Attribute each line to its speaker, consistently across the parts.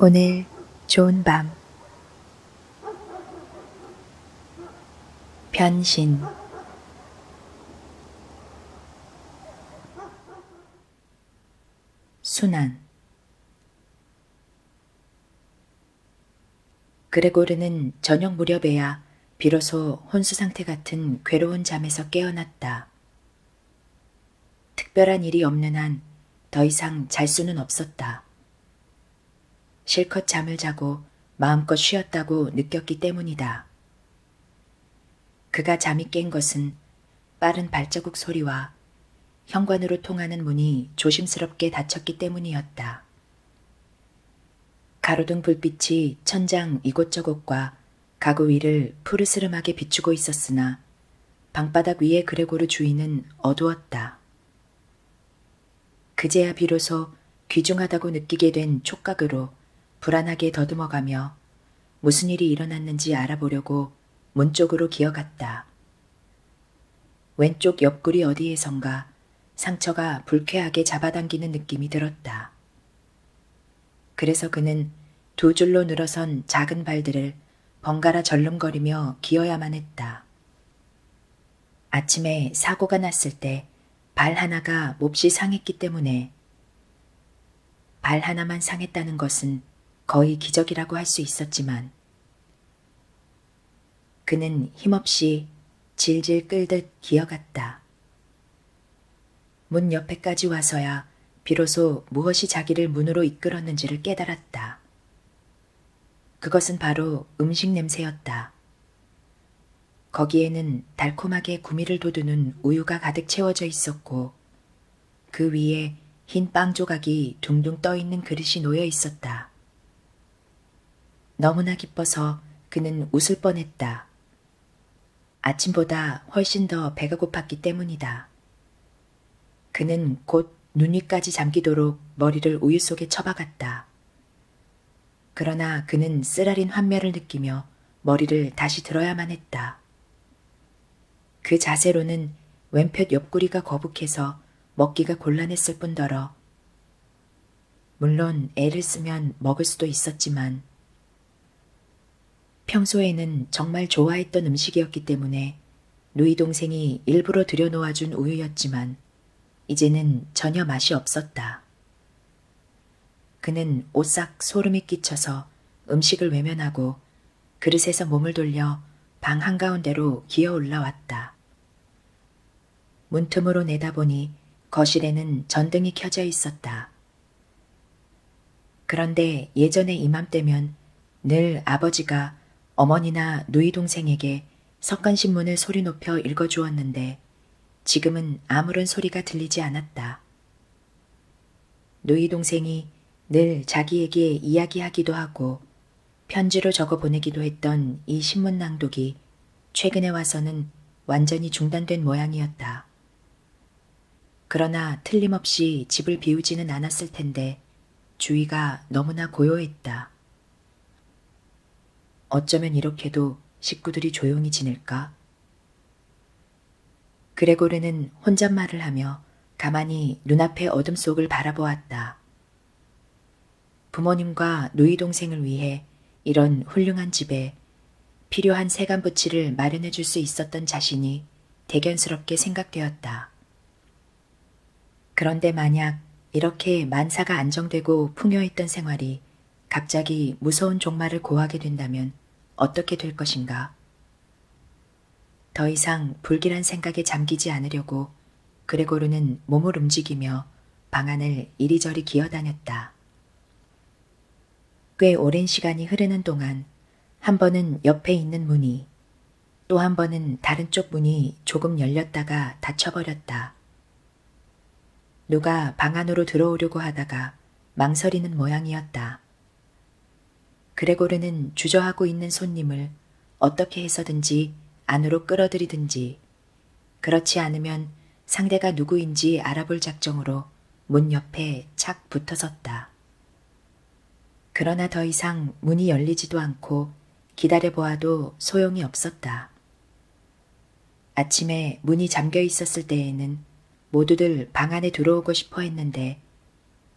Speaker 1: 오늘 좋은 밤 변신 순환 그레고르는 저녁 무렵에야 비로소 혼수 상태 같은 괴로운 잠에서 깨어났다. 특별한 일이 없는 한 더 이상 잘 수는 없었다. 실컷 잠을 자고 마음껏 쉬었다고 느꼈기 때문이다. 그가 잠이 깬 것은 빠른 발자국 소리와 현관으로 통하는 문이 조심스럽게 닫혔기 때문이었다. 가로등 불빛이 천장 이곳저곳과 가구 위를 푸르스름하게 비추고 있었으나 방바닥 위의 그레고르 주인은 어두웠다. 그제야 비로소 귀중하다고 느끼게 된 촉각으로 불안하게 더듬어가며 무슨 일이 일어났는지 알아보려고 문 쪽으로 기어갔다. 왼쪽 옆구리 어디에선가 상처가 불쾌하게 잡아당기는 느낌이 들었다. 그래서 그는 두 줄로 늘어선 작은 발들을 번갈아 절름거리며 기어야만 했다. 아침에 사고가 났을 때 발 하나가 몹시 상했기 때문에 발 하나만 상했다는 것은 거의 기적이라고 할 수 있었지만 그는 힘없이 질질 끌듯 기어갔다. 문 옆에까지 와서야 비로소 무엇이 자기를 문으로 이끌었는지를 깨달았다. 그것은 바로 음식 냄새였다. 거기에는 달콤하게 구미를 도두는 우유가 가득 채워져 있었고, 그 위에 흰 빵 조각이 둥둥 떠 있는 그릇이 놓여 있었다. 너무나 기뻐서 그는 웃을 뻔했다. 아침보다 훨씬 더 배가 고팠기 때문이다. 그는 곧 눈위까지 잠기도록 머리를 우유 속에 처박았다. 그러나 그는 쓰라린 환멸을 느끼며 머리를 다시 들어야만 했다. 그 자세로는 왼푯 옆구리가 거북해서 먹기가 곤란했을 뿐더러 물론 애를 쓰면 먹을 수도 있었지만 평소에는 정말 좋아했던 음식이었기 때문에 누이 동생이 일부러 들여놓아준 우유였지만 이제는 전혀 맛이 없었다. 그는 오싹 소름이 끼쳐서 음식을 외면하고 그릇에서 몸을 돌려 방 한가운데로 기어 올라왔다. 문틈으로 내다보니 거실에는 전등이 켜져 있었다. 그런데 예전에 이맘때면 늘 아버지가 어머니나 누이 동생에게 석간신문을 소리 높여 읽어주었는데 지금은 아무런 소리가 들리지 않았다. 누이 동생이 늘 자기에게 이야기하기도 하고 편지로 적어 보내기도 했던 이 신문 낭독이 최근에 와서는 완전히 중단된 모양이었다. 그러나 틀림없이 집을 비우지는 않았을 텐데 주위가 너무나 고요했다. 어쩌면 이렇게도 식구들이 조용히 지낼까? 그레고르는 혼잣말을 하며 가만히 눈앞의 어둠 속을 바라보았다. 부모님과 누이 동생을 위해 이런 훌륭한 집에 필요한 세간 부치를 마련해 줄 수 있었던 자신이 대견스럽게 생각되었다. 그런데 만약 이렇게 만사가 안정되고 풍요했던 생활이 갑자기 무서운 종말을 고하게 된다면 어떻게 될 것인가? 더 이상 불길한 생각에 잠기지 않으려고 그레고르는 몸을 움직이며 방안을 이리저리 기어다녔다. 꽤 오랜 시간이 흐르는 동안 한 번은 옆에 있는 문이 또 한 번은 다른 쪽 문이 조금 열렸다가 닫혀버렸다. 누가 방 안으로 들어오려고 하다가 망설이는 모양이었다. 그레고르는 주저하고 있는 손님을 어떻게 해서든지 안으로 끌어들이든지 그렇지 않으면 상대가 누구인지 알아볼 작정으로 문 옆에 착 붙어 섰다. 그러나 더 이상 문이 열리지도 않고 기다려보아도 소용이 없었다. 아침에 문이 잠겨 있었을 때에는 모두들 방 안에 들어오고 싶어 했는데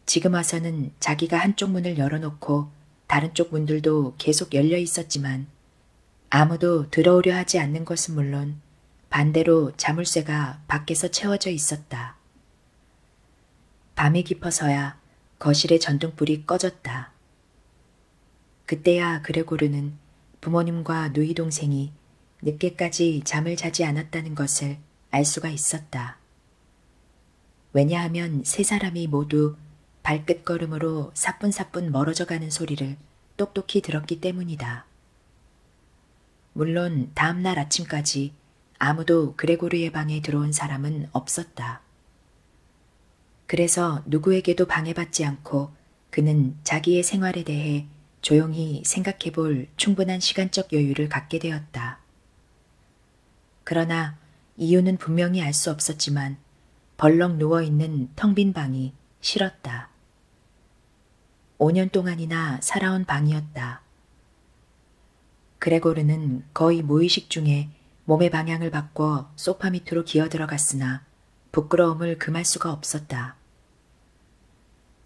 Speaker 1: 지금 와서는 자기가 한쪽 문을 열어놓고 다른 쪽 문들도 계속 열려 있었지만 아무도 들어오려 하지 않는 것은 물론 반대로 자물쇠가 밖에서 채워져 있었다. 있었다. 밤이 깊어서야 거실의 전등불이 꺼졌다. 그때야 그레고르는 부모님과 누이 동생이 늦게까지 잠을 자지 않았다는 것을 알 수가 있었다. 왜냐하면 세 사람이 모두 발끝걸음으로 사뿐사뿐 멀어져가는 소리를 똑똑히 들었기 때문이다. 물론 다음 날 아침까지 아무도 그레고르의 방에 들어온 사람은 없었다. 그래서 누구에게도 방해받지 않고 그는 자기의 생활에 대해 조용히 생각해 볼 충분한 시간적 여유를 갖게 되었다. 그러나 이유는 분명히 알 수 없었지만 벌렁 누워있는 텅 빈 방이 싫었다. 5년 동안이나 살아온 방이었다. 그레고르는 거의 무의식 중에 몸의 방향을 바꿔 소파 밑으로 기어들어갔으나 부끄러움을 금할 수가 없었다.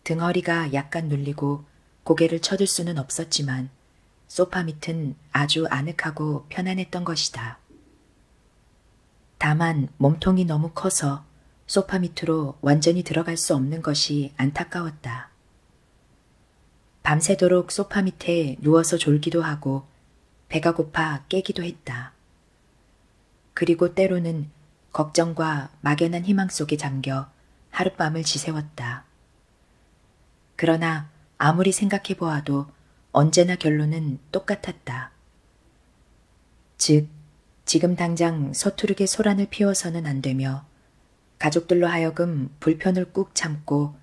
Speaker 1: 등허리가 약간 눌리고 고개를 쳐들 수는 없었지만 소파 밑은 아주 아늑하고 편안했던 것이다. 다만 몸통이 너무 커서 소파 밑으로 완전히 들어갈 수 없는 것이 안타까웠다. 밤새도록 소파 밑에 누워서 졸기도 하고 배가 고파 깨기도 했다. 그리고 때로는 걱정과 막연한 희망 속에 잠겨 하룻밤을 지새웠다. 그러나 아무리 생각해 보아도 언제나 결론은 똑같았다. 즉, 지금 당장 서투르게 소란을 피워서는 안 되며 가족들로 하여금 불편을 꾹 참고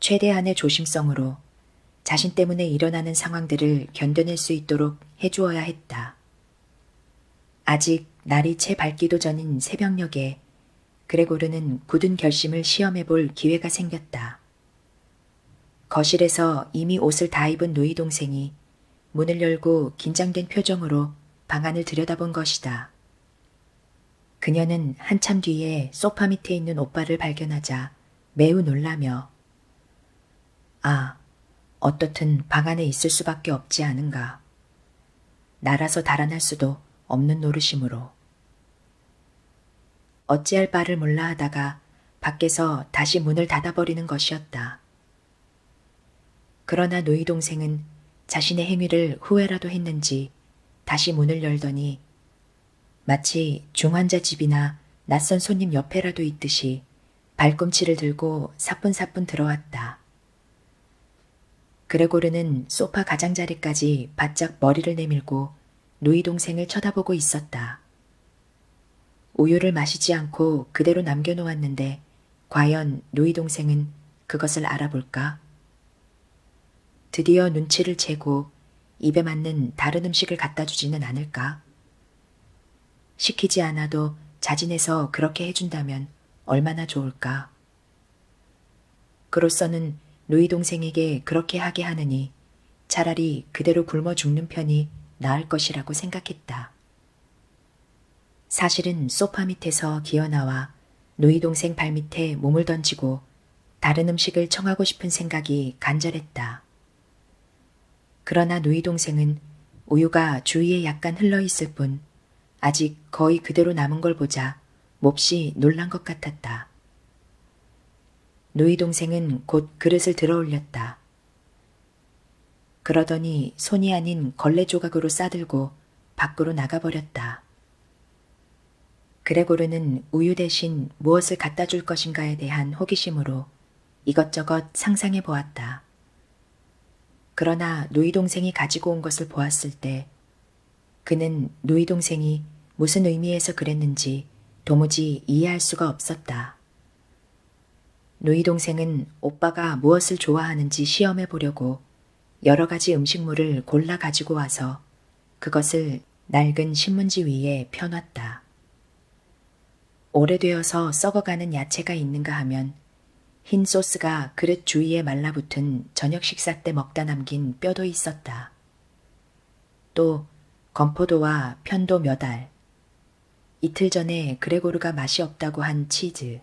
Speaker 1: 최대한의 조심성으로 자신 때문에 일어나는 상황들을 견뎌낼 수 있도록 해주어야 했다. 아직 날이 채 밝기도 전인 새벽녘에 그레고르는 굳은 결심을 시험해 볼 기회가 생겼다. 거실에서 이미 옷을 다 입은 누이 동생이 문을 열고 긴장된 표정으로 방 안을 들여다본 것이다. 그녀는 한참 뒤에 소파 밑에 있는 오빠를 발견하자 매우 놀라며 아, 어떻든 방 안에 있을 수밖에 없지 않은가. 날아서 달아날 수도 없는 노릇이므로. 어찌할 바를 몰라 하다가 밖에서 다시 문을 닫아버리는 것이었다. 그러나 누이 동생은 자신의 행위를 후회라도 했는지 다시 문을 열더니 마치 중환자 집이나 낯선 손님 옆에라도 있듯이 발꿈치를 들고 사뿐사뿐 들어왔다. 그레고르는 소파 가장자리까지 바짝 머리를 내밀고 누이 동생을 쳐다보고 있었다. 우유를 마시지 않고 그대로 남겨놓았는데 과연 누이 동생은 그것을 알아볼까? 드디어 눈치를 채고 입에 맞는 다른 음식을 갖다 주지는 않을까? 시키지 않아도 자진해서 그렇게 해준다면 얼마나 좋을까? 그로서는 누이 동생에게 그렇게 하게 하느니 차라리 그대로 굶어 죽는 편이 나을 것이라고 생각했다. 사실은 소파 밑에서 기어나와 누이 동생 발밑에 몸을 던지고 다른 음식을 청하고 싶은 생각이 간절했다. 그러나 누이 동생은 우유가 주위에 약간 흘러 있을 뿐 아직 거의 그대로 남은 걸 보자 몹시 놀란 것 같았다. 누이 동생은 곧 그릇을 들어 올렸다. 그러더니 손이 아닌 걸레 조각으로 싸들고 밖으로 나가버렸다. 그레고르는 우유 대신 무엇을 갖다 줄 것인가에 대한 호기심으로 이것저것 상상해 보았다. 그러나 누이 동생이 가지고 온 것을 보았을 때 그는 누이 동생이 무슨 의미에서 그랬는지 도무지 이해할 수가 없었다. 누이 동생은 오빠가 무엇을 좋아하는지 시험해 보려고 여러 가지 음식물을 골라 가지고 와서 그것을 낡은 신문지 위에 펴놨다. 오래되어서 썩어가는 야채가 있는가 하면 흰 소스가 그릇 주위에 말라붙은 저녁 식사 때 먹다 남긴 뼈도 있었다. 또 건포도와 편도 몇 알, 이틀 전에 그레고르가 맛이 없다고 한 치즈,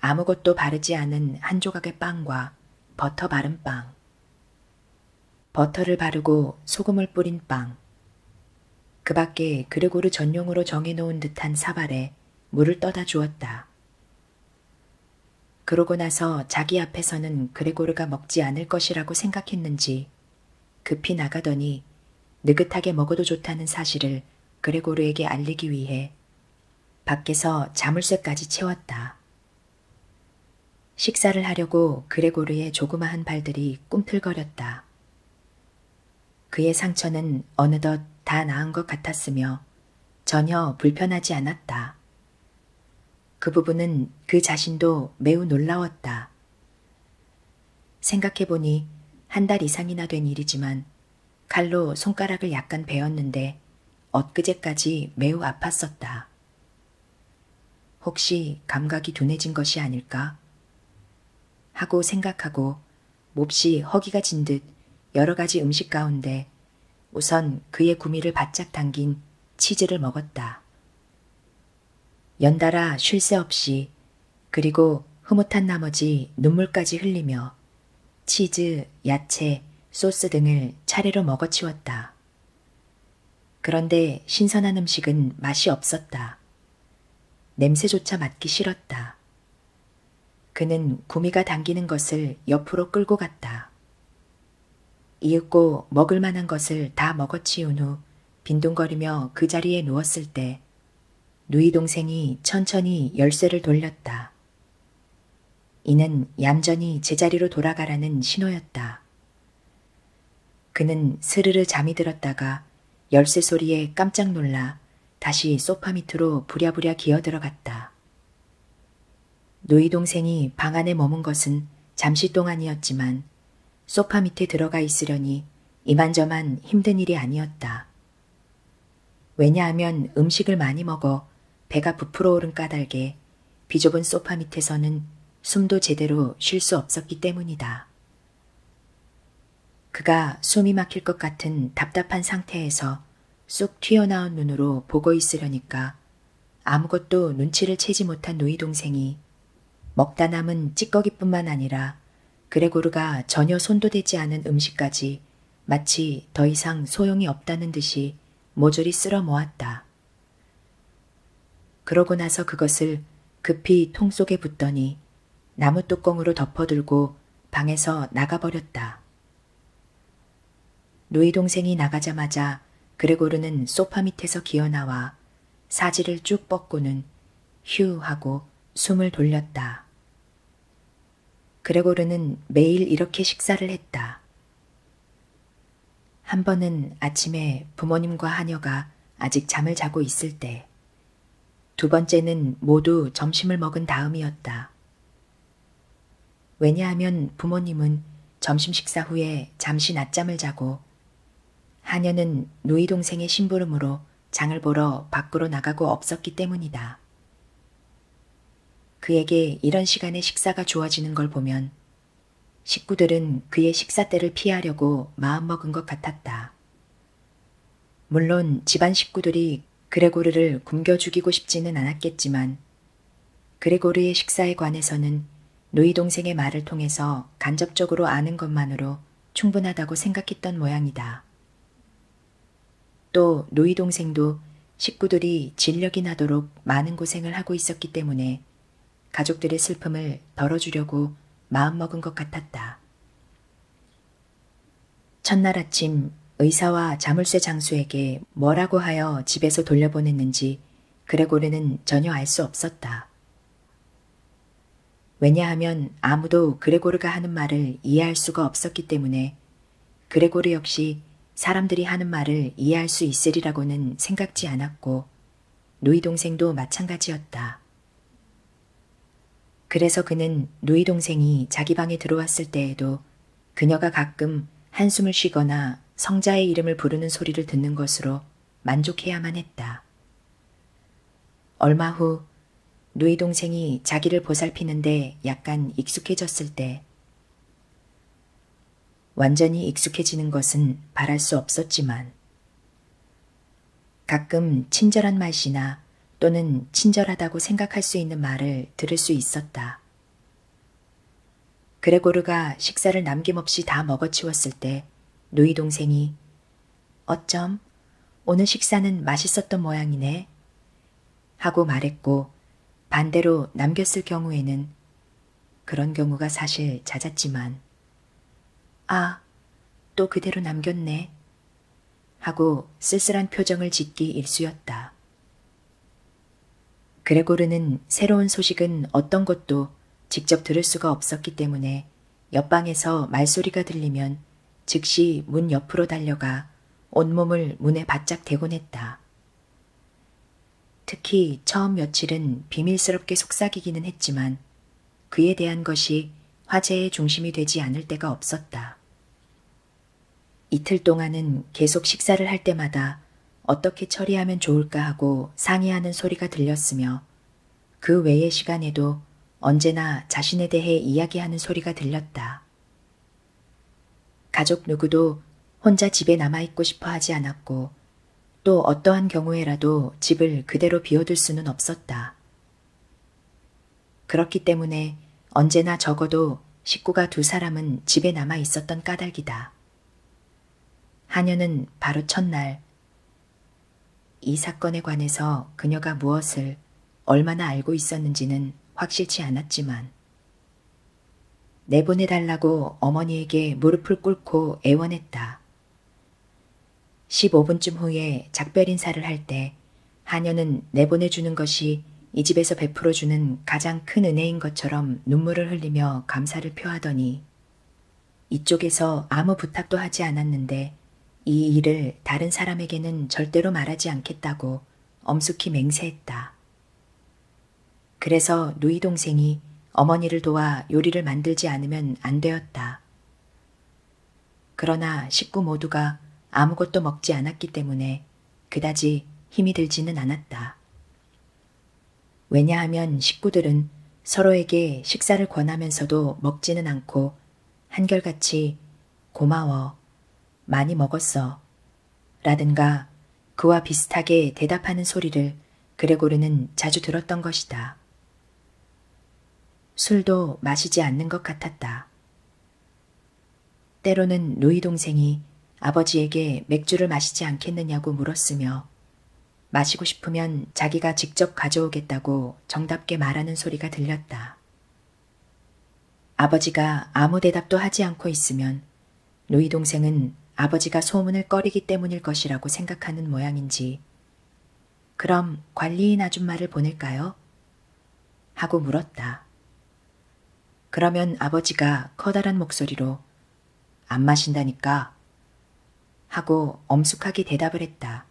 Speaker 1: 아무것도 바르지 않은 한 조각의 빵과 버터 바른 빵, 버터를 바르고 소금을 뿌린 빵, 그 밖에 그르고르 전용으로 정해놓은 듯한 사발에 물을 떠다 주었다. 그러고 나서 자기 앞에서는 그레고르가 먹지 않을 것이라고 생각했는지 급히 나가더니 느긋하게 먹어도 좋다는 사실을 그레고르에게 알리기 위해 밖에서 자물쇠까지 채웠다. 식사를 하려고 그레고르의 조그마한 발들이 꿈틀거렸다. 그의 상처는 어느덧 다 나은 것 같았으며 전혀 불편하지 않았다. 그 부분은 그 자신도 매우 놀라웠다. 생각해보니 한 달 이상이나 된 일이지만 칼로 손가락을 약간 베었는데 엊그제까지 매우 아팠었다. 혹시 감각이 둔해진 것이 아닐까? 하고 생각하고 몹시 허기가 진 듯 여러 가지 음식 가운데 우선 그의 구미를 바짝 당긴 치즈를 먹었다. 연달아 쉴 새 없이 그리고 흐뭇한 나머지 눈물까지 흘리며 치즈, 야채, 소스 등을 차례로 먹어치웠다. 그런데 신선한 음식은 맛이 없었다. 냄새조차 맡기 싫었다. 그는 구미가 당기는 것을 옆으로 끌고 갔다. 이윽고 먹을 만한 것을 다 먹어치운 후 빈둥거리며 그 자리에 누웠을 때 누이 동생이 천천히 열쇠를 돌렸다. 이는 얌전히 제자리로 돌아가라는 신호였다. 그는 스르르 잠이 들었다가 열쇠 소리에 깜짝 놀라 다시 소파 밑으로 부랴부랴 기어 들어갔다. 누이 동생이 방 안에 머문 것은 잠시 동안이었지만 소파 밑에 들어가 있으려니 이만저만 힘든 일이 아니었다. 왜냐하면 음식을 많이 먹어 배가 부풀어 오른 까닭에 비좁은 소파 밑에서는 숨도 제대로 쉴 수 없었기 때문이다. 그가 숨이 막힐 것 같은 답답한 상태에서 쑥 튀어나온 눈으로 보고 있으려니까 아무것도 눈치를 채지 못한 누이 동생이 먹다 남은 찌꺼기뿐만 아니라 그레고르가 전혀 손도 대지 않은 음식까지 마치 더 이상 소용이 없다는 듯이 모조리 쓸어 모았다. 그러고 나서 그것을 급히 통 속에 붓더니 나무 뚜껑으로 덮어들고 방에서 나가버렸다. 누이 동생이 나가자마자 그레고르는 소파 밑에서 기어나와 사지를 쭉 뻗고는 휴 하고 숨을 돌렸다. 그레고르는 매일 이렇게 식사를 했다. 한 번은 아침에 부모님과 하녀가 아직 잠을 자고 있을 때, 두 번째는 모두 점심을 먹은 다음이었다. 왜냐하면 부모님은 점심 식사 후에 잠시 낮잠을 자고, 하녀는 누이 동생의 심부름으로 장을 보러 밖으로 나가고 없었기 때문이다. 그에게 이런 시간에 식사가 주어지는 걸 보면 식구들은 그의 식사 때를 피하려고 마음먹은 것 같았다. 물론 집안 식구들이 그레고르를 굶겨 죽이고 싶지는 않았겠지만 그레고르의 식사에 관해서는 누이 동생의 말을 통해서 간접적으로 아는 것만으로 충분하다고 생각했던 모양이다. 또 노이 동생도 식구들이 진력이 나도록 많은 고생을 하고 있었기 때문에 가족들의 슬픔을 덜어주려고 마음먹은 것 같았다. 첫날 아침 의사와 자물쇠 장수에게 뭐라고 하여 집에서 돌려보냈는지 그레고르는 전혀 알 수 없었다. 왜냐하면 아무도 그레고르가 하는 말을 이해할 수가 없었기 때문에 그레고르 역시 사람들이 하는 말을 이해할 수 있으리라고는 생각지 않았고 누이 동생도 마찬가지였다. 그래서 그는 누이 동생이 자기 방에 들어왔을 때에도 그녀가 가끔 한숨을 쉬거나 성자의 이름을 부르는 소리를 듣는 것으로 만족해야만 했다. 얼마 후 누이 동생이 자기를 보살피는데 약간 익숙해졌을 때 완전히 익숙해지는 것은 바랄 수 없었지만 가끔 친절한 말씨나 또는 친절하다고 생각할 수 있는 말을 들을 수 있었다. 그레고르가 식사를 남김없이 다 먹어치웠을 때 누이 동생이 어쩜 오늘 식사는 맛있었던 모양이네. 하고 말했고 반대로 남겼을 경우에는 그런 경우가 사실 잦았지만 아, 또 그대로 남겼네 하고 쓸쓸한 표정을 짓기 일쑤였다. 그레고르는 새로운 소식은 어떤 것도 직접 들을 수가 없었기 때문에 옆방에서 말소리가 들리면 즉시 문 옆으로 달려가 온몸을 문에 바짝 대곤 했다. 특히 처음 며칠은 비밀스럽게 속삭이기는 했지만 그에 대한 것이 화제의 중심이 되지 않을 때가 없었다. 이틀 동안은 계속 식사를 할 때마다 어떻게 처리하면 좋을까 하고 상의하는 소리가 들렸으며 그 외의 시간에도 언제나 자신에 대해 이야기하는 소리가 들렸다. 않았다. 가족 누구도 혼자 집에 남아있고 싶어 하지 않았고, 또 어떠한 경우에라도 집을 그대로 비워둘 수는 없었다. 그렇기 때문에 언제나 적어도 식구가 두 사람은 집에 남아 있었던 까닭이다. 하녀는 바로 첫날, 이 사건에 관해서 그녀가 무엇을 얼마나 알고 있었는지는 확실치 않았지만 내보내달라고 어머니에게 무릎을 꿇고 애원했다. 15분쯤 후에 작별 인사를 할때 하녀는 내보내주는 것이 이 집에서 베풀어주는 가장 큰 은혜인 것처럼 눈물을 흘리며 감사를 표하더니 이쪽에서 아무 부탁도 하지 않았는데 이 일을 다른 사람에게는 절대로 말하지 않겠다고 엄숙히 맹세했다. 그래서 누이 동생이 어머니를 도와 요리를 만들지 않으면 안 되었다. 그러나 식구 모두가 아무것도 먹지 않았기 때문에 그다지 힘이 들지는 않았다. 왜냐하면 식구들은 서로에게 식사를 권하면서도 먹지는 않고 한결같이 고마워, 많이 먹었어. 라든가 그와 비슷하게 대답하는 소리를 그레고르는 자주 들었던 것이다. 술도 마시지 않는 것 같았다. 때로는 루이 동생이 아버지에게 맥주를 마시지 않겠느냐고 물었으며 마시고 싶으면 자기가 직접 가져오겠다고 정답게 말하는 소리가 들렸다. 아버지가 아무 대답도 하지 않고 있으면 루이 동생은 아버지가 소문을 꺼리기 때문일 것이라고 생각하는 모양인지 그럼 관리인 아줌마를 보낼까요? 하고 물었다. 그러면 아버지가 커다란 목소리로 안 마신다니까 하고 엄숙하게 대답을 했다.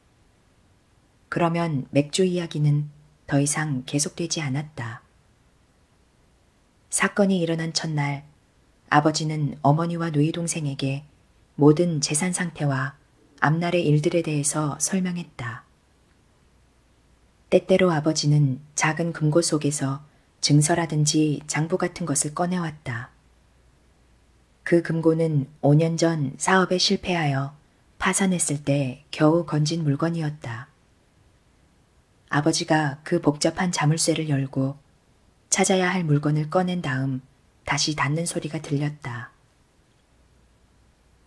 Speaker 1: 그러면 맥주 이야기는 더 이상 계속되지 않았다. 사건이 일어난 첫날 아버지는 어머니와 누이 동생에게 모든 재산 상태와 앞날의 일들에 대해서 설명했다. 때때로 아버지는 작은 금고 속에서 증서라든지 장부 같은 것을 꺼내왔다. 그 금고는 5년 전 사업에 실패하여 파산했을 때 겨우 건진 물건이었다. 아버지가 그 복잡한 자물쇠를 열고 찾아야 할 물건을 꺼낸 다음 다시 닫는 소리가 들렸다.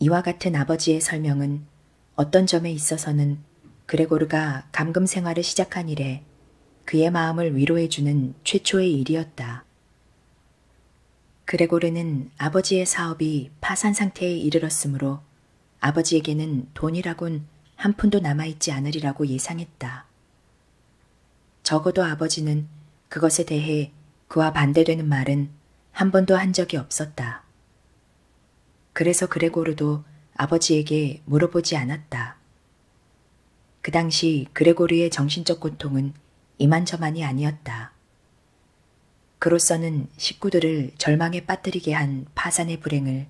Speaker 1: 이와 같은 아버지의 설명은 어떤 점에 있어서는 그레고르가 감금 생활을 시작한 이래 그의 마음을 위로해주는 최초의 일이었다. 그레고르는 아버지의 사업이 파산 상태에 이르렀으므로 아버지에게는 돈이라곤 한 푼도 남아있지 않으리라고 예상했다. 적어도 아버지는 그것에 대해 그와 반대되는 말은 한 번도 한 적이 없었다. 그래서 그레고르도 아버지에게 물어보지 않았다. 그 당시 그레고르의 정신적 고통은 이만저만이 아니었다. 그로서는 식구들을 절망에 빠뜨리게 한 파산의 불행을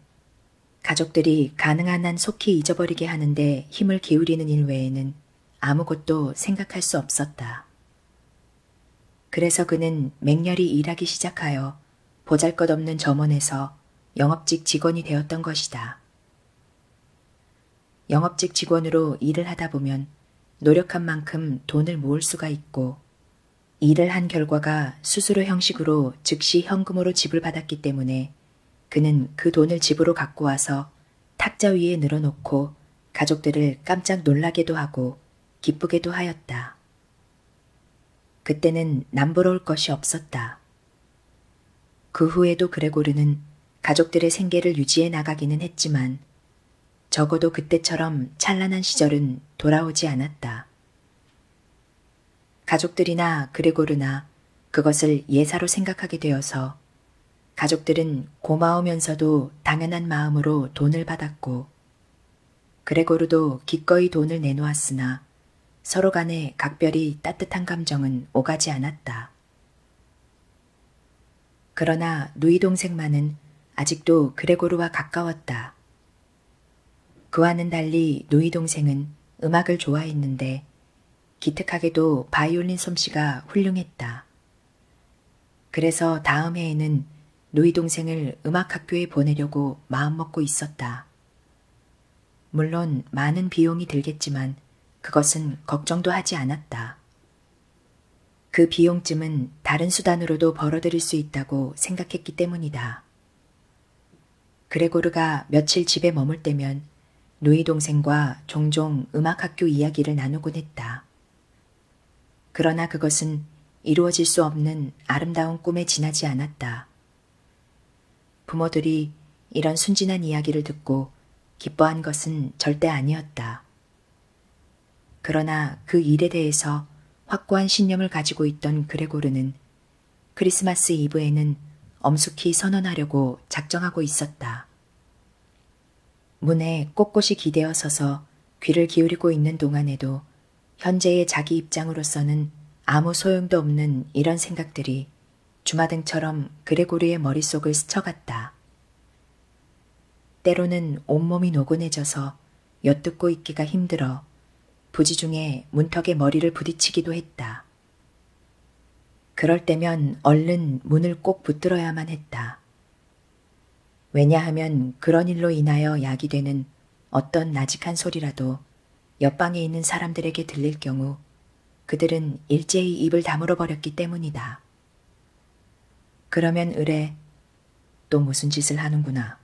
Speaker 1: 가족들이 가능한 한 속히 잊어버리게 하는데 힘을 기울이는 일 외에는 아무것도 생각할 수 없었다. 그래서 그는 맹렬히 일하기 시작하여 보잘 것 없는 점원에서 영업직 직원이 되었던 것이다. 영업직 직원으로 일을 하다 보면 노력한 만큼 돈을 모을 수가 있고 일을 한 결과가 수수료 형식으로 즉시 현금으로 지불받았기 때문에 그는 그 돈을 집으로 갖고 와서 탁자 위에 늘어놓고 가족들을 깜짝 놀라게도 하고 기쁘게도 하였다. 그때는 남부러울 것이 없었다. 그 후에도 그레고르는 가족들의 생계를 유지해 나가기는 했지만 적어도 그때처럼 찬란한 시절은 돌아오지 않았다. 가족들이나 그레고르나 그것을 예사로 생각하게 되어서 가족들은 고마우면서도 당연한 마음으로 돈을 받았고 그레고르도 기꺼이 돈을 내놓았으나 서로 간에 각별히 따뜻한 감정은 오가지 않았다. 그러나 누이 동생만은 아직도 그레고르와 가까웠다. 그와는 달리 누이 동생은 음악을 좋아했는데 기특하게도 바이올린 솜씨가 훌륭했다. 그래서 다음 해에는 누이 동생을 음악학교에 보내려고 마음먹고 있었다. 물론 많은 비용이 들겠지만 그것은 걱정도 하지 않았다. 그 비용쯤은 다른 수단으로도 벌어들일 수 있다고 생각했기 때문이다. 그레고르가 며칠 집에 머물 때면 누이 동생과 종종 음악학교 이야기를 나누곤 했다. 그러나 그것은 이루어질 수 없는 아름다운 꿈에 지나지 않았다. 부모들이 이런 순진한 이야기를 듣고 기뻐한 것은 절대 아니었다. 그러나 그 일에 대해서 확고한 신념을 가지고 있던 그레고르는 크리스마스 이브에는 엄숙히 선언하려고 작정하고 있었다. 문에 꼿꼿이 기대어 서서 귀를 기울이고 있는 동안에도 현재의 자기 입장으로서는 아무 소용도 없는 이런 생각들이 주마등처럼 그레고르의 머릿속을 스쳐갔다. 때로는 온몸이 노곤해져서 엿듣고 있기가 힘들어 부지중에 문턱에 머리를 부딪히기도 했다. 그럴 때면 얼른 문을 꼭 붙들어야만 했다. 왜냐하면 그런 일로 인하여 약이 되는 어떤 나직한 소리라도 옆방에 있는 사람들에게 들릴 경우 그들은 일제히 입을 다물어 버렸기 때문이다. 그러면 의뢰 또 무슨 짓을 하는구나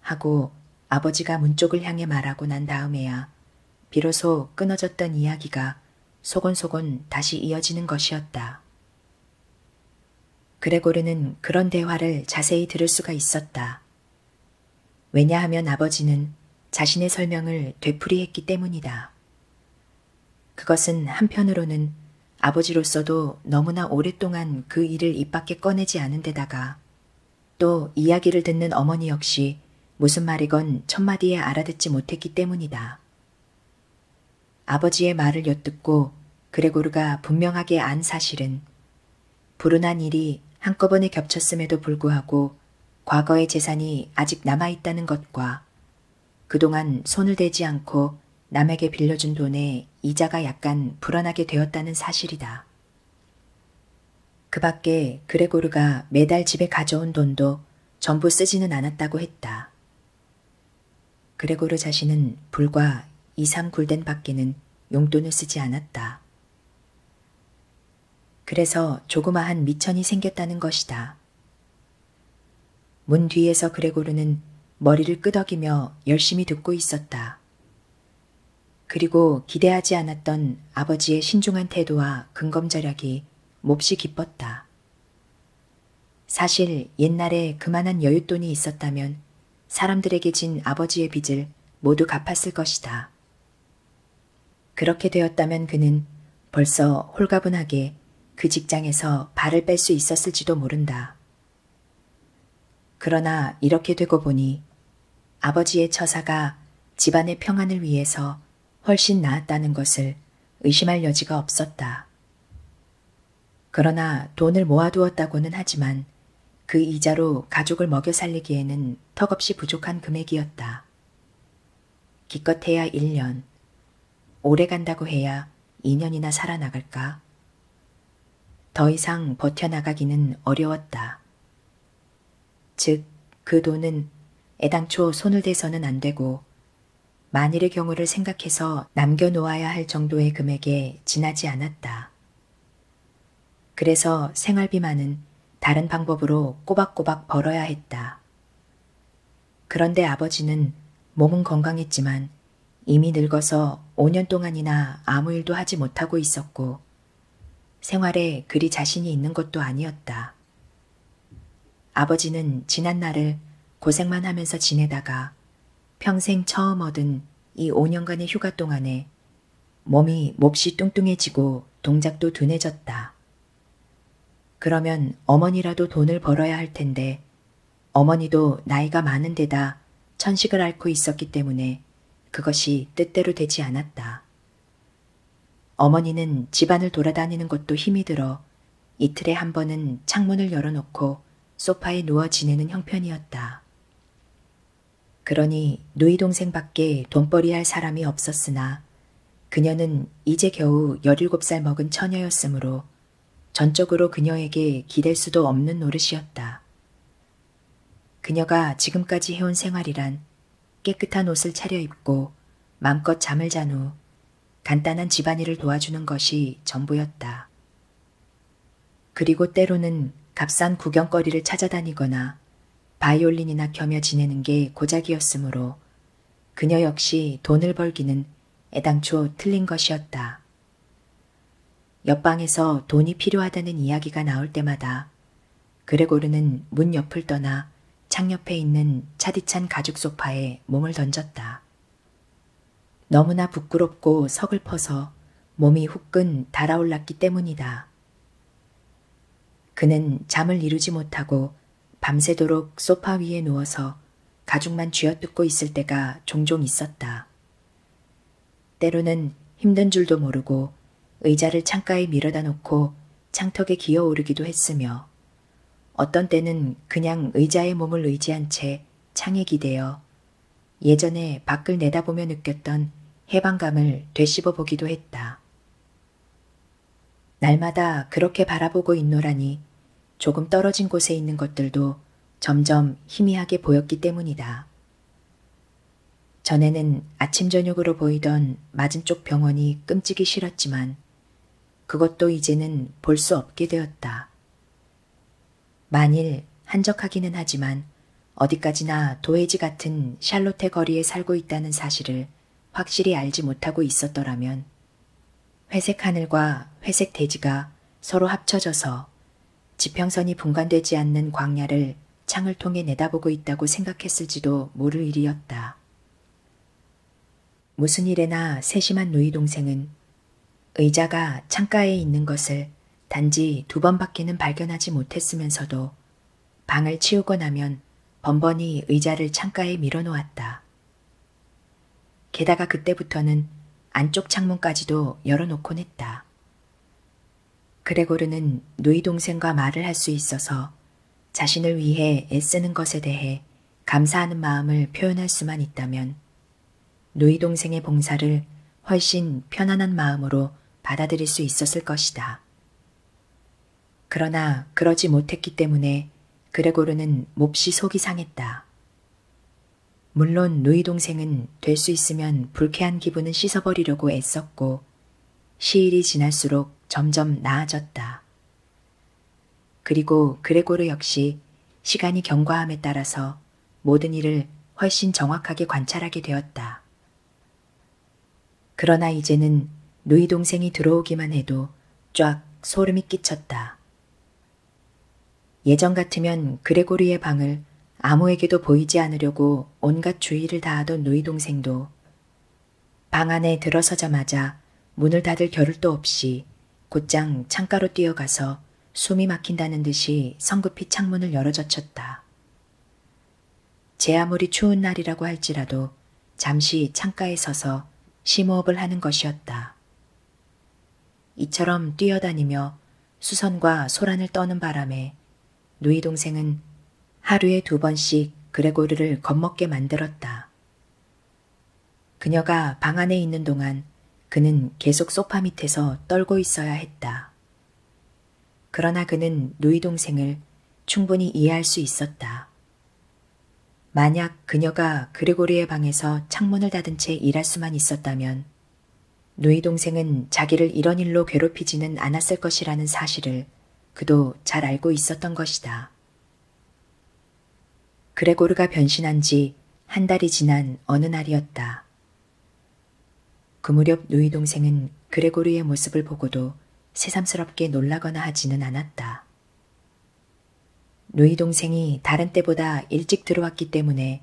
Speaker 1: 하고 아버지가 문 쪽을 향해 말하고 난 다음에야 비로소 끊어졌던 이야기가 소곤소곤 다시 이어지는 것이었다. 그레고르는 그런 대화를 자세히 들을 수가 있었다. 왜냐하면 아버지는 자신의 설명을 되풀이했기 때문이다. 그것은 한편으로는 아버지로서도 너무나 오랫동안 그 일을 입 밖에 꺼내지 않은 데다가 또 이야기를 듣는 어머니 역시 무슨 말이건 첫마디에 알아듣지 못했기 때문이다. 아버지의 말을 엿듣고 그레고르가 분명하게 안 사실은 불운한 일이 한꺼번에 겹쳤음에도 불구하고 과거의 재산이 아직 남아있다는 것과 그동안 손을 대지 않고 남에게 빌려준 돈에 이자가 약간 불안하게 되었다는 사실이다. 그 밖에 그레고르가 매달 집에 가져온 돈도 전부 쓰지는 않았다고 했다. 그레고르 자신은 불과 2, 3굴덴 밖에는 용돈을 쓰지 않았다. 그래서 조그마한 미천이 생겼다는 것이다. 문 뒤에서 그레고르는 머리를 끄덕이며 열심히 듣고 있었다. 그리고 기대하지 않았던 아버지의 신중한 태도와 근검절약이 몹시 기뻤다. 사실 옛날에 그만한 여윳돈이 있었다면 사람들에게 진 아버지의 빚을 모두 갚았을 것이다. 그렇게 되었다면 그는 벌써 홀가분하게 그 직장에서 발을 뺄 수 있었을지도 모른다. 그러나 이렇게 되고 보니 아버지의 처사가 집안의 평안을 위해서 훨씬 나았다는 것을 의심할 여지가 없었다. 그러나 돈을 모아두었다고는 하지만 그 이자로 가족을 먹여 살리기에는 턱없이 부족한 금액이었다. 기껏해야 1년, 오래 간다고 해야 2년이나 살아나갈까? 더 이상 버텨나가기는 어려웠다. 즉, 그 돈은 애당초 손을 대서는 안 되고, 만일의 경우를 생각해서 남겨놓아야 할 정도의 금액에 지나지 않았다. 그래서 생활비만은 다른 방법으로 꼬박꼬박 벌어야 했다. 그런데 아버지는 몸은 건강했지만 이미 늙어서 5년 동안이나 아무 일도 하지 못하고 있었고, 생활에 그리 자신이 있는 것도 아니었다. 아버지는 지난 날을 고생만 하면서 지내다가 평생 처음 얻은 이 5년간의 휴가 동안에 몸이 몹시 뚱뚱해지고 동작도 둔해졌다. 그러면 어머니라도 돈을 벌어야 할 텐데 어머니도 나이가 많은 데다 천식을 앓고 있었기 때문에 그것이 뜻대로 되지 않았다. 어머니는 집안을 돌아다니는 것도 힘이 들어 이틀에 한 번은 창문을 열어놓고 소파에 누워 지내는 형편이었다. 그러니 누이 동생밖에 돈벌이 할 사람이 없었으나 그녀는 이제 겨우 17살 먹은 처녀였으므로 전적으로 그녀에게 기댈 수도 없는 노릇이었다. 그녀가 지금까지 해온 생활이란 깨끗한 옷을 차려입고 마음껏 잠을 잔 후 간단한 집안일을 도와주는 것이 전부였다. 그리고 때로는 값싼 구경거리를 찾아다니거나 바이올린이나 켜며 지내는 게 고작이었으므로 그녀 역시 돈을 벌기는 애당초 틀린 것이었다. 옆방에서 돈이 필요하다는 이야기가 나올 때마다 그레고르는 문 옆을 떠나 창옆에 있는 차디찬 가죽 소파에 몸을 던졌다. 너무나 부끄럽고 서글퍼서 몸이 후끈 달아올랐기 때문이다. 그는 잠을 이루지 못하고 밤새도록 소파 위에 누워서 가죽만 쥐어뜯고 있을 때가 종종 있었다. 때로는 힘든 줄도 모르고 의자를 창가에 밀어다 놓고 창턱에 기어오르기도 했으며 어떤 때는 그냥 의자에 몸을 의지한 채 창에 기대어 예전에 밖을 내다보며 느꼈던 해방감을 되씹어 보기도 했다. 날마다 그렇게 바라보고 있노라니 조금 떨어진 곳에 있는 것들도 점점 희미하게 보였기 때문이다. 전에는 아침 저녁으로 보이던 맞은쪽 병원이 끔찍이 싫었지만 그것도 이제는 볼 수 없게 되었다. 만일 한적하기는 하지만 어디까지나 도해지 같은 샬롯의 거리에 살고 있다는 사실을 확실히 알지 못하고 있었더라면 회색 하늘과 회색 대지가 서로 합쳐져서 지평선이 분간되지 않는 광야를 창을 통해 내다보고 있다고 생각했을지도 모를 일이었다. 무슨 일에나 세심한 루이 동생은 의자가 창가에 있는 것을 단지 두 번밖에는 발견하지 못했으면서도 방을 치우고 나면 번번이 의자를 창가에 밀어놓았다. 게다가 그때부터는 안쪽 창문까지도 열어놓곤 했다. 있었다. 그레고르는 누이 동생과 말을 할 수 있어서 자신을 위해 애쓰는 것에 대해 감사하는 마음을 표현할 수만 있다면 누이 동생의 봉사를 훨씬 편안한 마음으로 받아들일 수 있었을 것이다. 그러나 그러지 못했기 때문에 그레고르는 몹시 속이 상했다. 물론 누이 동생은 될 수 있으면 불쾌한 기분은 씻어버리려고 애썼고 시일이 지날수록 점점 나아졌다. 그리고 그레고르 역시 시간이 경과함에 따라서 모든 일을 훨씬 정확하게 관찰하게 되었다. 그러나 이제는 누이 동생이 들어오기만 해도 쫙 소름이 끼쳤다. 예전 같으면 그레고리의 방을 아무에게도 보이지 않으려고 온갖 주의를 다하던 누이 동생도 방 안에 들어서자마자 문을 닫을 겨를도 없이 곧장 창가로 뛰어가서 숨이 막힌다는 듯이 성급히 창문을 열어젖혔다. 제 아무리 추운 날이라고 할지라도 잠시 창가에 서서 심호흡을 하는 것이었다. 이처럼 뛰어다니며 수선과 소란을 떠는 바람에 누이 동생은 하루에 두 번씩 그레고르를 겁먹게 만들었다. 그녀가 방 안에 있는 동안 그는 계속 소파 밑에서 떨고 있어야 했다. 그러나 그는 누이 동생을 충분히 이해할 수 있었다. 만약 그녀가 그레고르의 방에서 창문을 닫은 채 일할 수만 있었다면 누이 동생은 자기를 이런 일로 괴롭히지는 않았을 것이라는 사실을 그도 잘 알고 있었던 것이다. 그레고르가 변신한 지 한 달이 지난 어느 날이었다. 그 무렵 누이 동생은 그레고르의 모습을 보고도 새삼스럽게 놀라거나 하지는 않았다. 누이 동생이 다른 때보다 일찍 들어왔기 때문에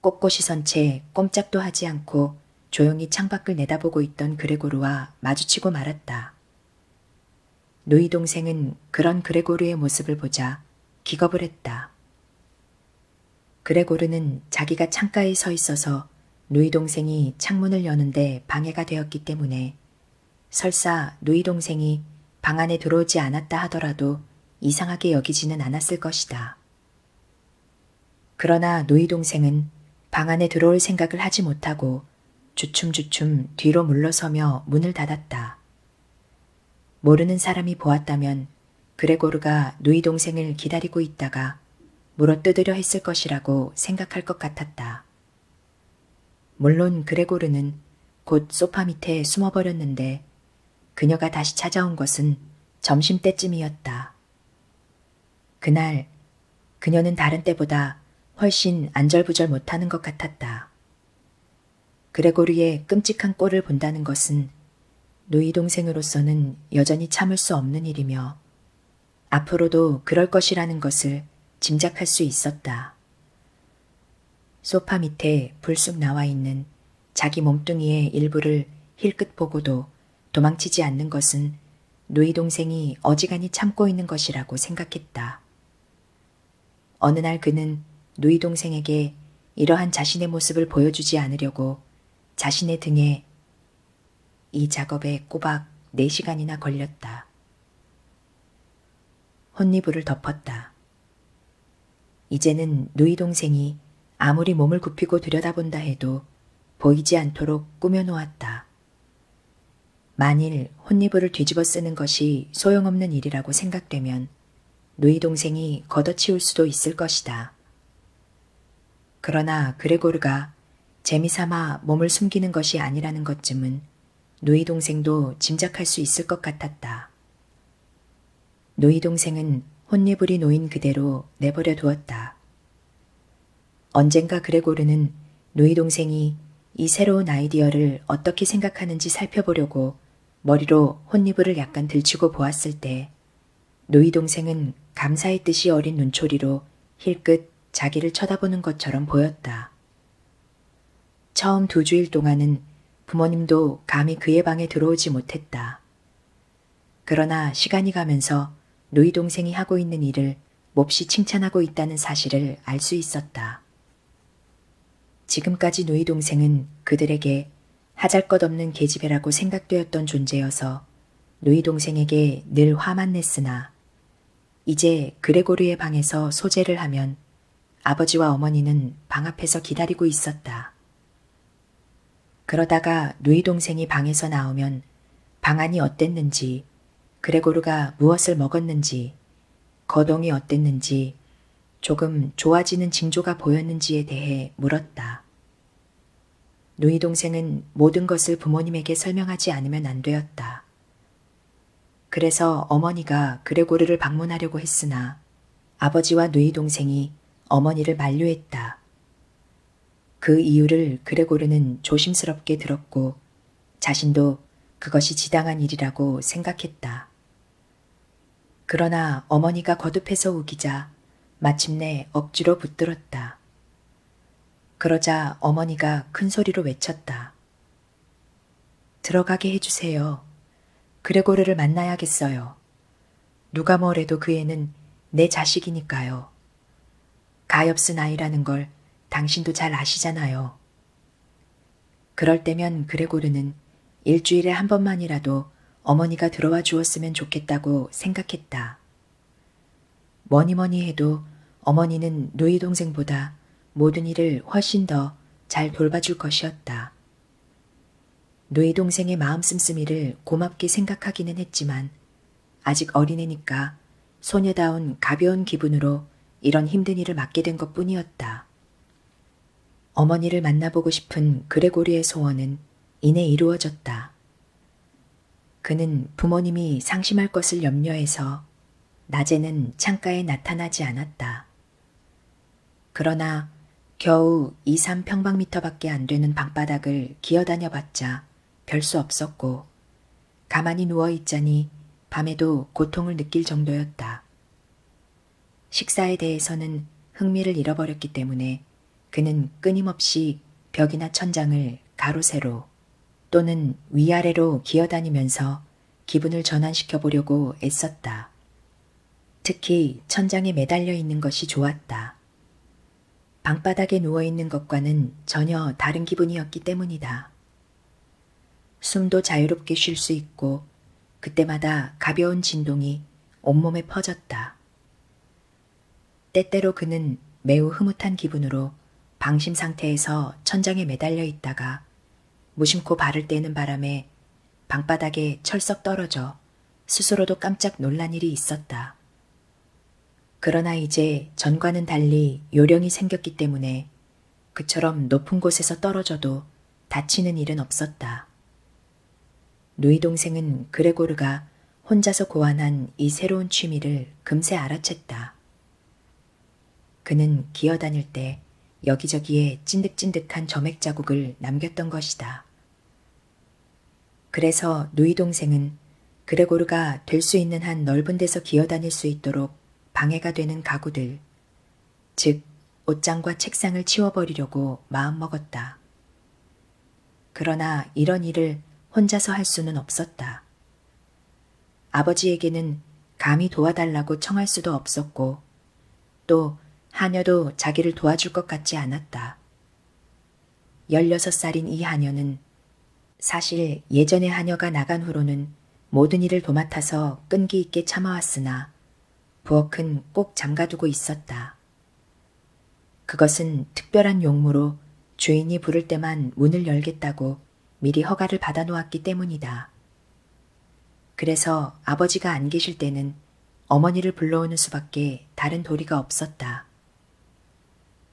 Speaker 1: 꼿꼿이 선 채 꼼짝도 하지 않고 조용히 창밖을 내다보고 있던 그레고르와 마주치고 말았다. 누이 동생은 그런 그레고르의 모습을 보자 기겁을 했다. 그레고르는 자기가 창가에 서 있어서 누이 동생이 창문을 여는데 방해가 되었기 때문에 설사 누이 동생이 방 안에 들어오지 않았다 하더라도 이상하게 여기지는 않았을 것이다. 그러나 노이 동생은 방 안에 들어올 생각을 하지 못하고 주춤주춤 뒤로 물러서며 문을 닫았다. 모르는 사람이 보았다면 그레고르가 누이 동생을 기다리고 있다가 물어 뜯으려 했을 것이라고 생각할 것 같았다. 물론 그레고르는 곧 소파 밑에 숨어버렸는데 그녀가 다시 찾아온 것은 점심때쯤이었다. 그날 그녀는 다른 때보다 훨씬 안절부절 못하는 것 같았다. 그레고르의 끔찍한 꼴을 본다는 것은 누이 동생으로서는 여전히 참을 수 없는 일이며 앞으로도 그럴 것이라는 것을 짐작할 수 있었다. 소파 밑에 불쑥 나와 있는 자기 몸뚱이의 일부를 힐끗 보고도 도망치지 않는 것은 누이 동생이 어지간히 참고 있는 것이라고 생각했다. 어느 날 그는 누이 동생에게 이러한 자신의 모습을 보여주지 않으려고 자신의 등에 이 작업에 꼬박 4시간이나 걸렸다. 혼니부를 덮었다. 이제는 누이 동생이 아무리 몸을 굽히고 들여다본다 해도 보이지 않도록 꾸며놓았다. 만일 혼니부를 뒤집어 쓰는 것이 소용없는 일이라고 생각되면 누이 동생이 걷어치울 수도 있을 것이다. 그러나 그레고르가 재미삼아 몸을 숨기는 것이 아니라는 것쯤은 누이 동생도 짐작할 수 있을 것 같았다. 노이 동생은 혼니불이 놓인 그대로 내버려 두었다. 언젠가 그레고르는 노이 동생이 이 새로운 아이디어를 어떻게 생각하는지 살펴보려고 머리로 혼니불을 약간 들치고 보았을 때 노이 동생은 감사의 뜻이 어린 눈초리로 힐끗 자기를 쳐다보는 것처럼 보였다. 처음 두 주일 동안은 부모님도 감히 그의 방에 들어오지 못했다. 그러나 시간이 가면서 누이 동생이 하고 있는 일을 몹시 칭찬하고 있다는 사실을 알 수 있었다. 지금까지 누이 동생은 그들에게 하잘 것 없는 계집애라고 생각되었던 존재여서 누이 동생에게 늘 화만 냈으나 이제 그레고르의 방에서 소재를 하면 아버지와 어머니는 방 앞에서 기다리고 있었다. 그러다가 누이 동생이 방에서 나오면 방안이 어땠는지, 그레고르가 무엇을 먹었는지, 거동이 어땠는지, 조금 좋아지는 징조가 보였는지에 대해 물었다. 누이 동생은 모든 것을 부모님에게 설명하지 않으면 안 되었다. 그래서 어머니가 그레고르를 방문하려고 했으나 아버지와 누이 동생이 어머니를 만류했다. 그 이유를 그레고르는 조심스럽게 들었고 자신도 그것이 지당한 일이라고 생각했다. 그러나 어머니가 거듭해서 우기자 마침내 억지로 붙들었다. 그러자 어머니가 큰 소리로 외쳤다. 들어가게 해주세요. 그레고르를 만나야겠어요. 누가 뭐래도 그 애는 내 자식이니까요. 가엾은 아이라는 걸 당신도 잘 아시잖아요. 그럴 때면 그레고르는 일주일에 한 번만이라도 어머니가 들어와 주었으면 좋겠다고 생각했다. 뭐니뭐니 뭐니 해도 어머니는 누이 동생보다 모든 일을 훨씬 더 잘 돌봐줄 것이었다. 누이 동생의 마음 씀씀이를 고맙게 생각하기는 했지만 아직 어린애니까 소녀다운 가벼운 기분으로 이런 힘든 일을 맡게 된 것 뿐이었다. 어머니를 만나보고 싶은 그레고리의 소원은 이내 이루어졌다. 그는 부모님이 상심할 것을 염려해서 낮에는 창가에 나타나지 않았다. 그러나 겨우 2, 3평방미터밖에 안 되는 방바닥을 기어다녀 봤자 별 수 없었고 가만히 누워 있자니 밤에도 고통을 느낄 정도였다. 식사에 대해서는 흥미를 잃어버렸기 때문에 그는 끊임없이 벽이나 천장을 가로세로 또는 위아래로 기어다니면서 기분을 전환시켜 보려고 애썼다. 특히 천장에 매달려 있는 것이 좋았다. 방바닥에 누워 있는 것과는 전혀 다른 기분이었기 때문이다. 숨도 자유롭게 쉴 수 있고 그때마다 가벼운 진동이 온몸에 퍼졌다. 때때로 그는 매우 흐뭇한 기분으로 방심 상태에서 천장에 매달려 있다가 무심코 발을 떼는 바람에 방바닥에 철썩 떨어져 스스로도 깜짝 놀란 일이 있었다. 그러나 이제 전과는 달리 요령이 생겼기 때문에 그처럼 높은 곳에서 떨어져도 다치는 일은 없었다. 누이 동생은 그레고르가 혼자서 고안한 이 새로운 취미를 금세 알아챘다. 그는 기어다닐 때 여기저기에 찐득찐득한 점액 자국을 남겼던 것이다. 그래서 누이 동생은 그레고르가 될 수 있는 한 넓은 데서 기어다닐 수 있도록 방해가 되는 가구들, 즉 옷장과 책상을 치워버리려고 마음먹었다. 그러나 이런 일을 혼자서 할 수는 없었다. 아버지에게는 감히 도와달라고 청할 수도 없었고, 또 하녀도 자기를 도와줄 것 같지 않았다. 열여섯 살인이 하녀는 사실 예전에 하녀가 나간 후로는 모든 일을 도맡아서 끈기 있게 참아왔으나 부엌은 꼭 잠가두고 있었다. 그것은 특별한 용무로 주인이 부를 때만 문을 열겠다고 미리 허가를 받아놓았기 때문이다. 그래서 아버지가 안 계실 때는 어머니를 불러오는 수밖에 다른 도리가 없었다.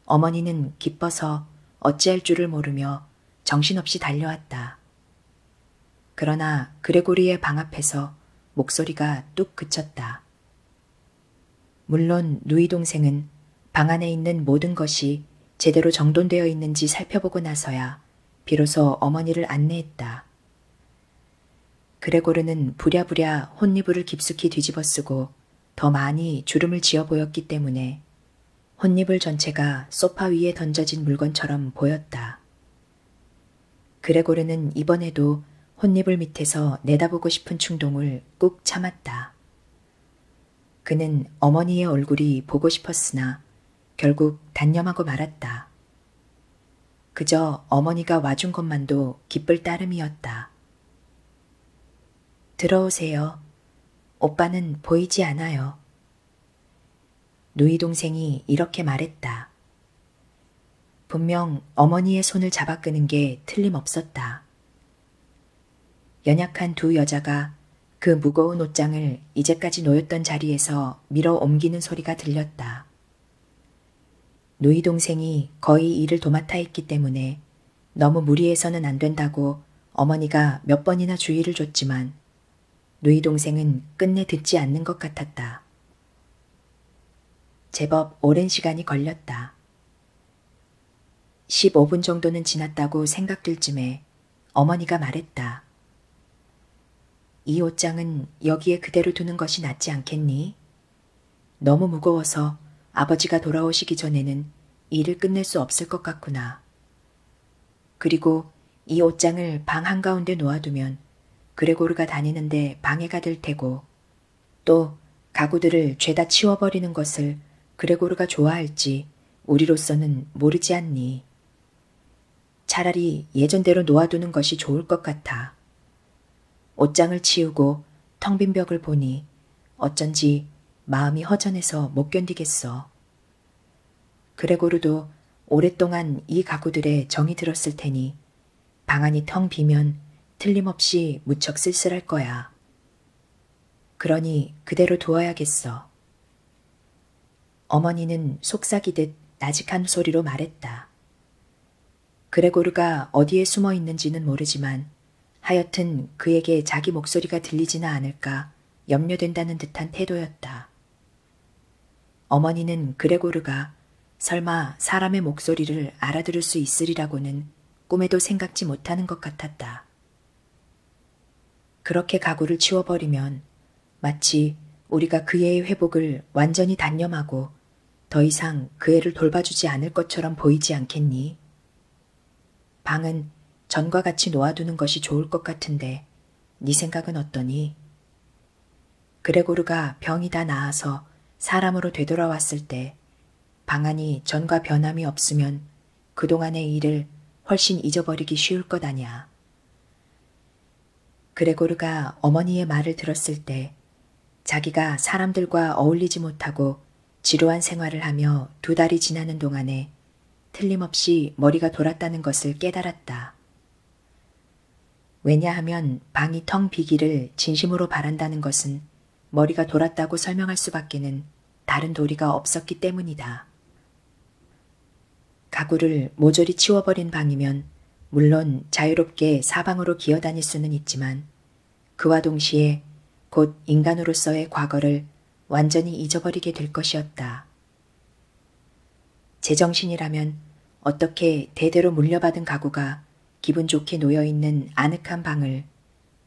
Speaker 1: 어머니는 기뻐서 어찌할 줄을 모르며 정신없이 달려왔다. 그러나 그레고리의 방 앞에서 목소리가 뚝 그쳤다. 물론 누이 동생은 방 안에 있는 모든 것이 제대로 정돈되어 있는지 살펴보고 나서야 비로소 어머니를 안내했다. 그레고르는 부랴부랴 혼니부를 깊숙이 뒤집어 쓰고 더 많이 주름을 지어 보였기 때문에 혼니불 전체가 소파 위에 던져진 물건처럼 보였다. 그레고르는 이번에도 혼니불 밑에서 내다보고 싶은 충동을 꾹 참았다. 그는 어머니의 얼굴이 보고 싶었으나 결국 단념하고 말았다. 그저 어머니가 와준 것만도 기쁠 따름이었다. 들어오세요. 오빠는 보이지 않아요. 누이 동생이 이렇게 말했다. 분명 어머니의 손을 잡아 끄는 게 틀림없었다. 연약한 두 여자가 그 무거운 옷장을 이제까지 놓였던 자리에서 밀어 옮기는 소리가 들렸다. 누이 동생이 거의 일을 도맡아 있기 때문에 너무 무리해서는 안 된다고 어머니가 몇 번이나 주의를 줬지만 누이 동생은 끝내 듣지 않는 것 같았다. 제법 오랜 시간이 걸렸다. 15분 정도는 지났다고 생각될 쯤에 어머니가 말했다. 이 옷장은 여기에 그대로 두는 것이 낫지 않겠니? 너무 무거워서 아버지가 돌아오시기 전에는 일을 끝낼 수 없을 것 같구나. 그리고 이 옷장을 방 한가운데 놓아두면 그레고르가 다니는데 방해가 될 테고 또 가구들을 죄다 치워버리는 것을 그레고르가 좋아할지 우리로서는 모르지 않니. 차라리 예전대로 놓아두는 것이 좋을 것 같아. 옷장을 치우고 텅 빈 벽을 보니 어쩐지 마음이 허전해서 못 견디겠어. 그레고르도 오랫동안 이 가구들의 정이 들었을 테니 방안이 텅 비면 틀림없이 무척 쓸쓸할 거야. 그러니 그대로 두어야겠어. 어머니는 속삭이듯 나직한 소리로 말했다. 그레고르가 어디에 숨어 있는지는 모르지만 하여튼 그에게 자기 목소리가 들리지는 않을까 염려된다는 듯한 태도였다. 어머니는 그레고르가 설마 사람의 목소리를 알아들을 수 있으리라고는 꿈에도 생각지 못하는 것 같았다. 그렇게 가구를 치워버리면 마치 우리가 그의 회복을 완전히 단념하고 더 이상 그 애를 돌봐주지 않을 것처럼 보이지 않겠니? 방은 전과 같이 놓아두는 것이 좋을 것 같은데 네 생각은 어떠니? 그레고르가 병이 다 나아서 사람으로 되돌아왔을 때 방안이 전과 변함이 없으면 그동안의 일을 훨씬 잊어버리기 쉬울 것 아냐. 그레고르가 어머니의 말을 들었을 때 자기가 사람들과 어울리지 못하고 지루한 생활을 하며 두 달이 지나는 동안에 틀림없이 머리가 돌았다는 것을 깨달았다. 왜냐하면 방이 텅 비기를 진심으로 바란다는 것은 머리가 돌았다고 설명할 수밖에는 다른 도리가 없었기 때문이다. 가구를 모조리 치워버린 방이면 물론 자유롭게 사방으로 기어다닐 수는 있지만 그와 동시에 곧 인간으로서의 과거를 완전히 잊어버리게 될 것이었다. 제정신이라면 어떻게 대대로 물려받은 가구가 기분 좋게 놓여있는 아늑한 방을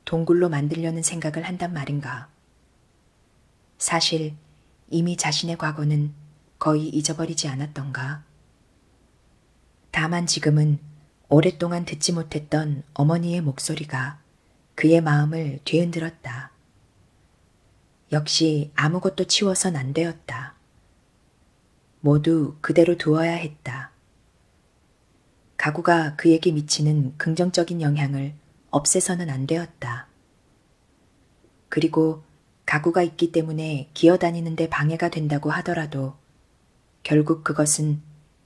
Speaker 1: 동굴로 만들려는 생각을 한단 말인가. 사실 이미 자신의 과거는 거의 잊어버리지 않았던가. 다만 지금은 오랫동안 듣지 못했던 어머니의 목소리가 그의 마음을 뒤흔들었다. 역시 아무것도 치워선 안 되었다. 모두 그대로 두어야 했다. 가구가 그에게 미치는 긍정적인 영향을 없애서는 안 되었다. 그리고 가구가 있기 때문에 기어다니는데 방해가 된다고 하더라도 결국 그것은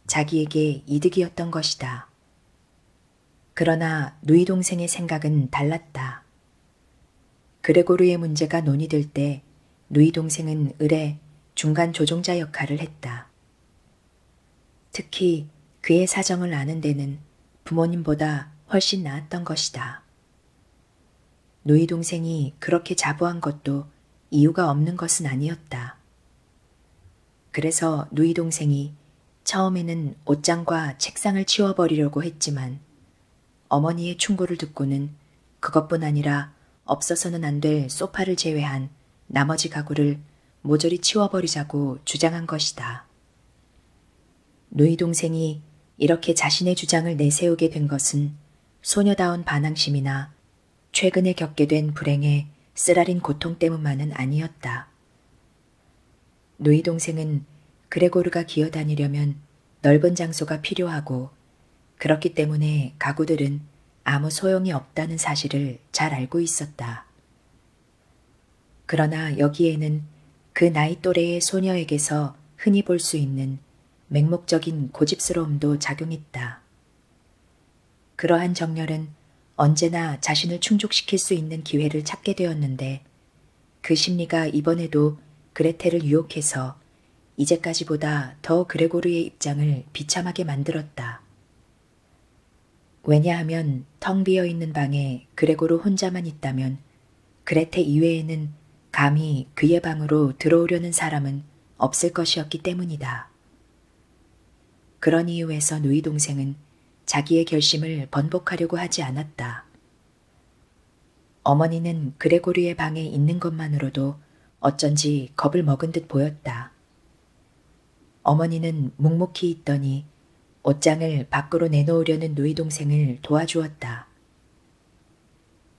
Speaker 1: 자기에게 이득이었던 것이다. 그러나 누이 동생의 생각은 달랐다. 그레고르의 문제가 논의될 때 누이 동생은 을의 중간 조종자 역할을 했다. 특히 그의 사정을 아는 데는 부모님보다 훨씬 나았던 것이다. 누이 동생이 그렇게 자부한 것도 이유가 없는 것은 아니었다. 그래서 누이 동생이 처음에는 옷장과 책상을 치워버리려고 했지만 어머니의 충고를 듣고는 그것뿐 아니라 없어서는 안 될 소파를 제외한 나머지 가구를 모조리 치워버리자고 주장한 것이다. 누이 동생이 이렇게 자신의 주장을 내세우게 된 것은 소녀다운 반항심이나 최근에 겪게 된 불행의 쓰라린 고통 때문만은 아니었다. 누이 동생은 그레고르가 기어다니려면 넓은 장소가 필요하고 그렇기 때문에 가구들은 아무 소용이 없다는 사실을 잘 알고 있었다. 그러나 여기에는 그 나이 또래의 소녀에게서 흔히 볼 수 있는 맹목적인 고집스러움도 작용했다. 있다. 그러한 정열은 언제나 자신을 충족시킬 수 있는 기회를 찾게 되었는데 그 심리가 이번에도 그레텔을 유혹해서 이제까지보다 더 그레고르의 입장을 비참하게 만들었다. 왜냐하면 텅 비어 있는 방에 그레고르 혼자만 있다면 그레테 이외에는 감히 그의 방으로 들어오려는 사람은 없을 것이었기 때문이다. 그런 이유에서 누이 동생은 자기의 결심을 번복하려고 하지 않았다. 어머니는 그레고리의 방에 있는 것만으로도 어쩐지 겁을 먹은 듯 보였다. 어머니는 묵묵히 있더니 옷장을 밖으로 내놓으려는 누이 동생을 도와주었다.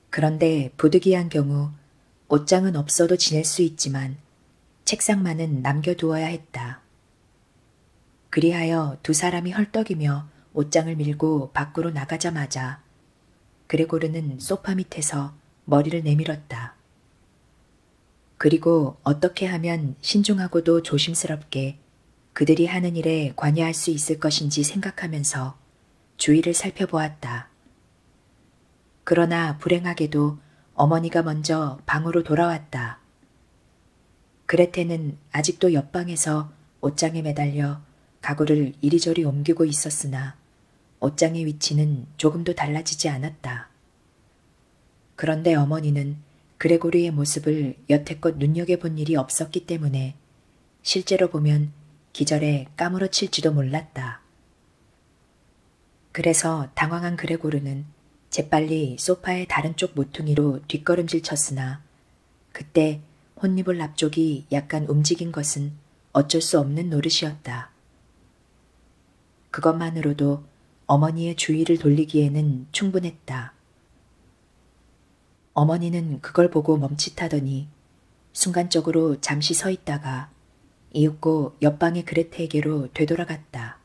Speaker 1: 그런데 부득이한 경우 옷장은 없어도 지낼 수 있지만 책상만은 남겨두어야 했다. 그리하여 두 사람이 헐떡이며 옷장을 밀고 밖으로 나가자마자 그레고르는 소파 밑에서 머리를 내밀었다. 그리고 어떻게 하면 신중하고도 조심스럽게 그들이 하는 일에 관여할 수 있을 것인지 생각하면서 주위를 살펴보았다. 그러나 불행하게도 어머니가 먼저 방으로 돌아왔다. 그레테는 아직도 옆방에서 옷장에 매달려 가구를 이리저리 옮기고 있었으나 옷장의 위치는 조금도 달라지지 않았다. 그런데 어머니는 그레고리의 모습을 여태껏 눈여겨본 일이 없었기 때문에 실제로 보면 기절에 까무러칠지도 몰랐다. 그래서 당황한 그레고르는 재빨리 소파의 다른 쪽 모퉁이로 뒷걸음질 쳤으나 그때 혼니볼 앞쪽이 약간 움직인 것은 어쩔 수 없는 노릇이었다. 그것만으로도 어머니의 주의를 돌리기에는 충분했다. 어머니는 그걸 보고 멈칫하더니 순간적으로 잠시 서 있다가 이윽고 옆방의 그레테에게로 되돌아갔다.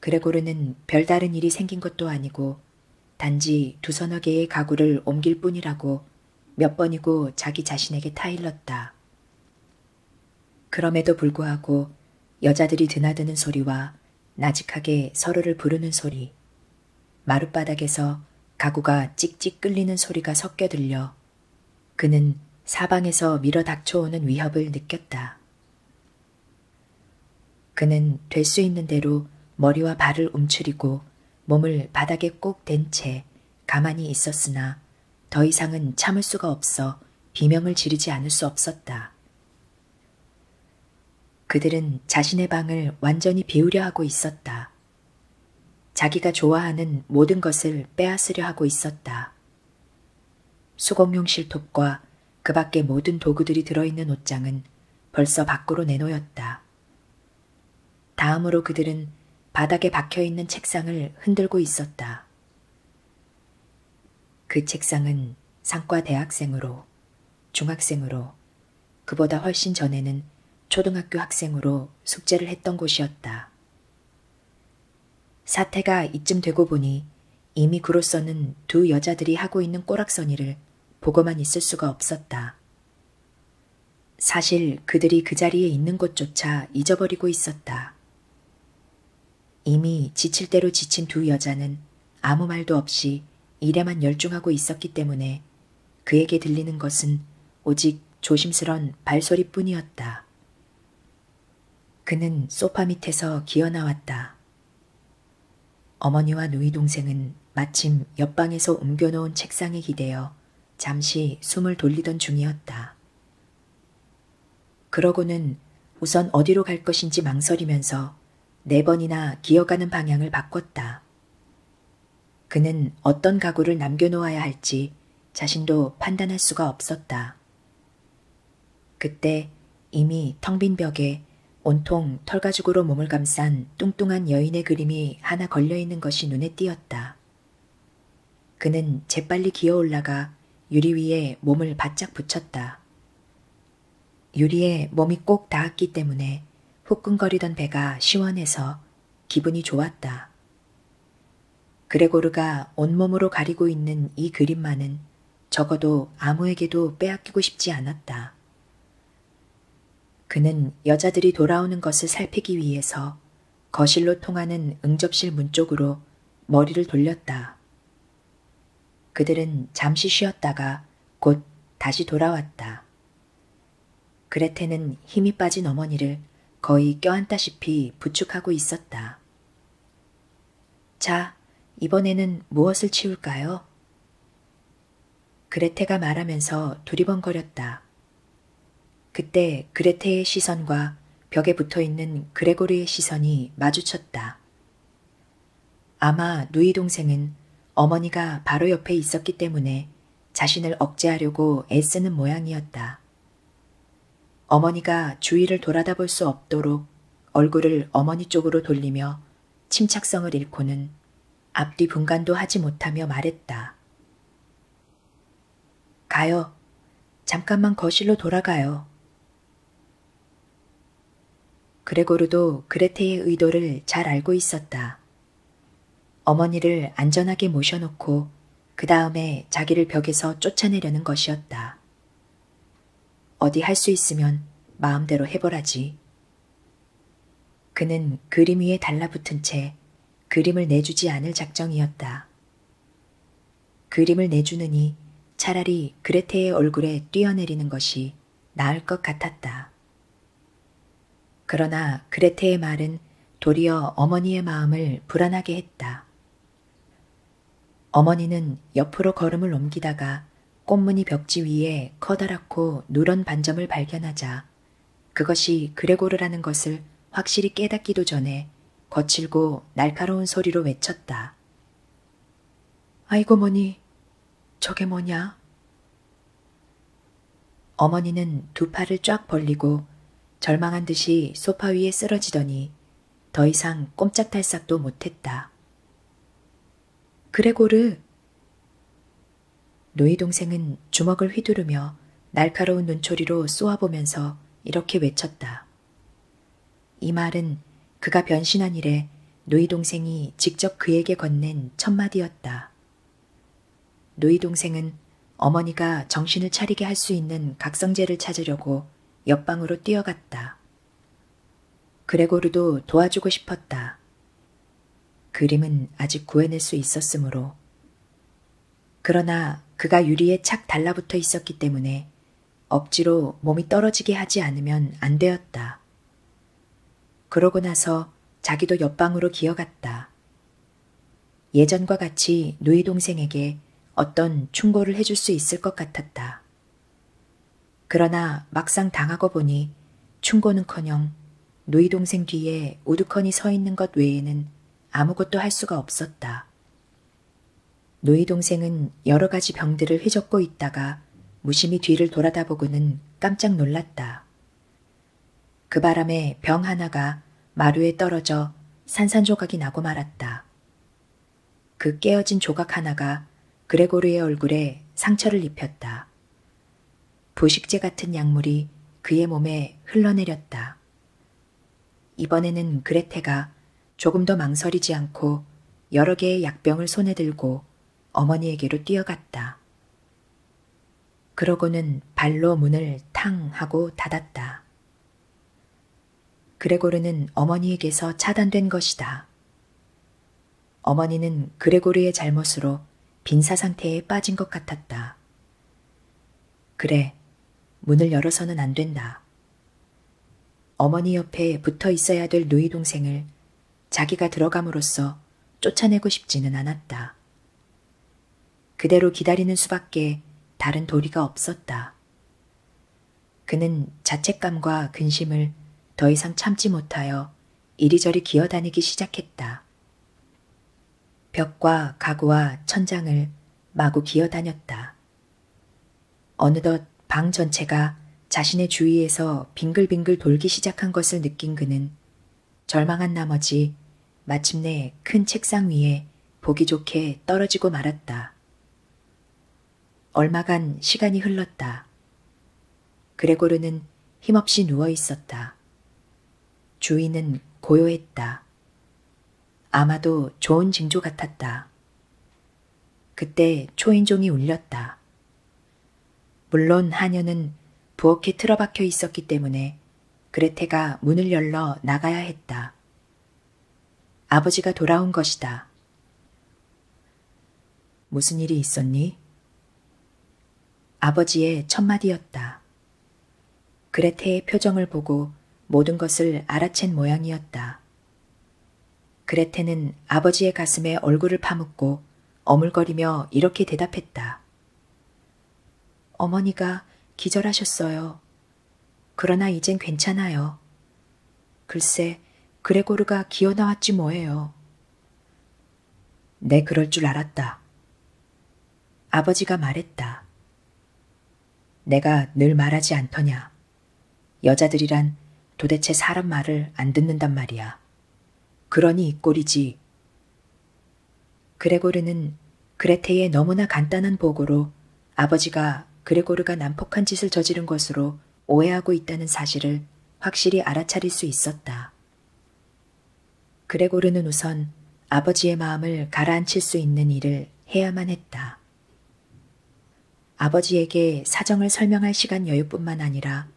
Speaker 1: 그레고르는 별다른 일이 생긴 것도 아니고 단지 두서너 개의 가구를 옮길 뿐이라고 몇 번이고 자기 자신에게 타일렀다. 그럼에도 불구하고 여자들이 드나드는 소리와 나직하게 서로를 부르는 소리, 마룻바닥에서 가구가 찍찍 끌리는 소리가 섞여 들려 그는 사방에서 밀어 닥쳐오는 위협을 느꼈다. 그는 될 수 있는 대로 머리와 발을 움츠리고 몸을 바닥에 꼭 댄 채 가만히 있었으나 더 이상은 참을 수가 없어 비명을 지르지 않을 수 없었다. 그들은 자신의 방을 완전히 비우려 하고 있었다. 자기가 좋아하는 모든 것을 빼앗으려 하고 있었다. 수공용 실톱과 그 밖의 모든 도구들이 들어있는 옷장은 벌써 밖으로 내놓였다. 다음으로 그들은 바닥에 박혀있는 책상을 흔들고 있었다. 그 책상은 상과 대학생으로, 중학생으로, 그보다 훨씬 전에는 초등학교 학생으로 숙제를 했던 곳이었다. 사태가 이쯤 되고 보니 이미 그로서는 두 여자들이 하고 있는 꼬락서니를 보고만 있을 수가 없었다. 사실 그들이 그 자리에 있는 것조차 잊어버리고 있었다. 이미 지칠 대로 지친 두 여자는 아무 말도 없이 일에만 열중하고 있었기 때문에 그에게 들리는 것은 오직 조심스런 발소리뿐이었다. 그는 소파 밑에서 기어나왔다. 어머니와 누이 동생은 마침 옆방에서 옮겨놓은 책상에 기대어 잠시 숨을 돌리던 중이었다. 그러고는 우선 어디로 갈 것인지 망설이면서 네 번이나 기어가는 방향을 바꿨다. 그는 어떤 가구를 남겨놓아야 할지 자신도 판단할 수가 없었다. 그때 이미 텅 빈 벽에 온통 털가죽으로 몸을 감싼 뚱뚱한 여인의 그림이 하나 걸려있는 것이 눈에 띄었다. 그는 재빨리 기어 올라가 유리 위에 몸을 바짝 붙였다. 유리에 몸이 꼭 닿았기 때문에 후끈거리던 배가 시원해서 기분이 좋았다. 그레고르가 온몸으로 가리고 있는 이 그림만은 적어도 아무에게도 빼앗기고 싶지 않았다. 그는 여자들이 돌아오는 것을 살피기 위해서 거실로 통하는 응접실 문 쪽으로 머리를 돌렸다. 그들은 잠시 쉬었다가 곧 다시 돌아왔다. 그레테는 힘이 빠진 어머니를 거의 껴안다시피 부축하고 있었다. 자, 이번에는 무엇을 치울까요? 그레테가 말하면서 두리번거렸다. 그때 그레테의 시선과 벽에 붙어 있는 그레고르의 시선이 마주쳤다. 아마 누이 동생은 어머니가 바로 옆에 있었기 때문에 자신을 억제하려고 애쓰는 모양이었다. 어머니가 주위를 돌아다 볼 수 없도록 얼굴을 어머니 쪽으로 돌리며 침착성을 잃고는 앞뒤 분간도 하지 못하며 말했다. 가요. 잠깐만 거실로 돌아가요. 그레고르도 그레테의 의도를 잘 알고 있었다. 어머니를 안전하게 모셔놓고 그 다음에 자기를 벽에서 쫓아내려는 것이었다. 어디 할 수 있으면 마음대로 해보라지. 그는 그림 위에 달라붙은 채 그림을 내주지 않을 작정이었다. 그림을 내주느니 차라리 그레테의 얼굴에 뛰어내리는 것이 나을 것 같았다. 그러나 그레테의 말은 도리어 어머니의 마음을 불안하게 했다. 어머니는 옆으로 걸음을 옮기다가 꽃무늬 벽지 위에 커다랗고 누런 반점을 발견하자 그것이 그레고르라는 것을 확실히 깨닫기도 전에 거칠고 날카로운 소리로 외쳤다. 아이고 뭐니, 저게 뭐냐? 어머니는 두 팔을 쫙 벌리고 절망한 듯이 소파 위에 쓰러지더니 더 이상 꼼짝달싹도 못했다. 그레고르! 노이 동생은 주먹을 휘두르며 날카로운 눈초리로 쏘아보면서 이렇게 외쳤다. 이 말은 그가 변신한 이래 노이 동생이 직접 그에게 건넨 첫 마디였다. 누이 동생은 어머니가 정신을 차리게 할 수 있는 각성제를 찾으려고 옆방으로 뛰어갔다. 그레고르도 도와주고 싶었다. 그림은 아직 구해낼 수 있었으므로. 그러나 그가 유리에 착 달라붙어 있었기 때문에 억지로 몸이 떨어지게 하지 않으면 안 되었다. 그러고 나서 자기도 옆방으로 기어갔다. 예전과 같이 누이 동생에게 어떤 충고를 해줄 수 있을 것 같았다. 그러나 막상 당하고 보니 충고는커녕 누이 동생 뒤에 우두커니 서 있는 것 외에는 아무것도 할 수가 없었다. 누이 동생은 여러 가지 병들을 휘젓고 있다가 무심히 뒤를 돌아다보고는 깜짝 놀랐다. 그 바람에 병 하나가 마루에 떨어져 산산조각이 나고 말았다. 그 깨어진 조각 하나가 그레고르의 얼굴에 상처를 입혔다. 부식제 같은 약물이 그의 몸에 흘러내렸다. 이번에는 그레테가 조금 더 망설이지 않고 여러 개의 약병을 손에 들고 어머니에게로 뛰어갔다. 그러고는 발로 문을 탕 하고 닫았다. 그레고르는 어머니에게서 차단된 것이다. 어머니는 그레고르의 잘못으로 빈사 상태에 빠진 것 같았다. 그래, 문을 열어서는 안 된다. 어머니 옆에 붙어 있어야 될 누이 동생을 자기가 들어감으로써 쫓아내고 싶지는 않았다. 그대로 기다리는 수밖에 다른 도리가 없었다. 그는 자책감과 근심을 더 이상 참지 못하여 이리저리 기어다니기 시작했다. 벽과 가구와 천장을 마구 기어다녔다. 어느덧 방 전체가 자신의 주위에서 빙글빙글 돌기 시작한 것을 느낀 그는 절망한 나머지 마침내 큰 책상 위에 보기 좋게 떨어지고 말았다. 얼마간 시간이 흘렀다. 그레고르는 힘없이 누워 있었다. 주인은 고요했다. 아마도 좋은 징조 같았다. 그때 초인종이 울렸다. 물론 하녀는 부엌에 틀어박혀 있었기 때문에 그레테가 문을 열러 나가야 했다. 아버지가 돌아온 것이다. 무슨 일이 있었니? 아버지의 첫마디였다. 그레테의 표정을 보고 모든 것을 알아챈 모양이었다. 그레테는 아버지의 가슴에 얼굴을 파묻고 어물거리며 이렇게 대답했다. 어머니가 기절하셨어요. 그러나 이젠 괜찮아요. 글쎄, 그레고르가 기어 나왔지 뭐예요. 내 네, 그럴 줄 알았다. 아버지가 말했다. 내가 늘 말하지 않더냐. 여자들이란 도대체 사람 말을 안 듣는단 말이야. 그러니 이 꼴이지. 그레고르는 그레테의 너무나 간단한 보고로 아버지가 그레고르가 난폭한 짓을 저지른 것으로 오해하고 있다는 사실을 확실히 알아차릴 수 있었다. 그레고르는 우선 아버지의 마음을 가라앉힐 수 있는 일을 해야만 했다. 아버지에게 사정을 설명할 시간 여유뿐만 아니라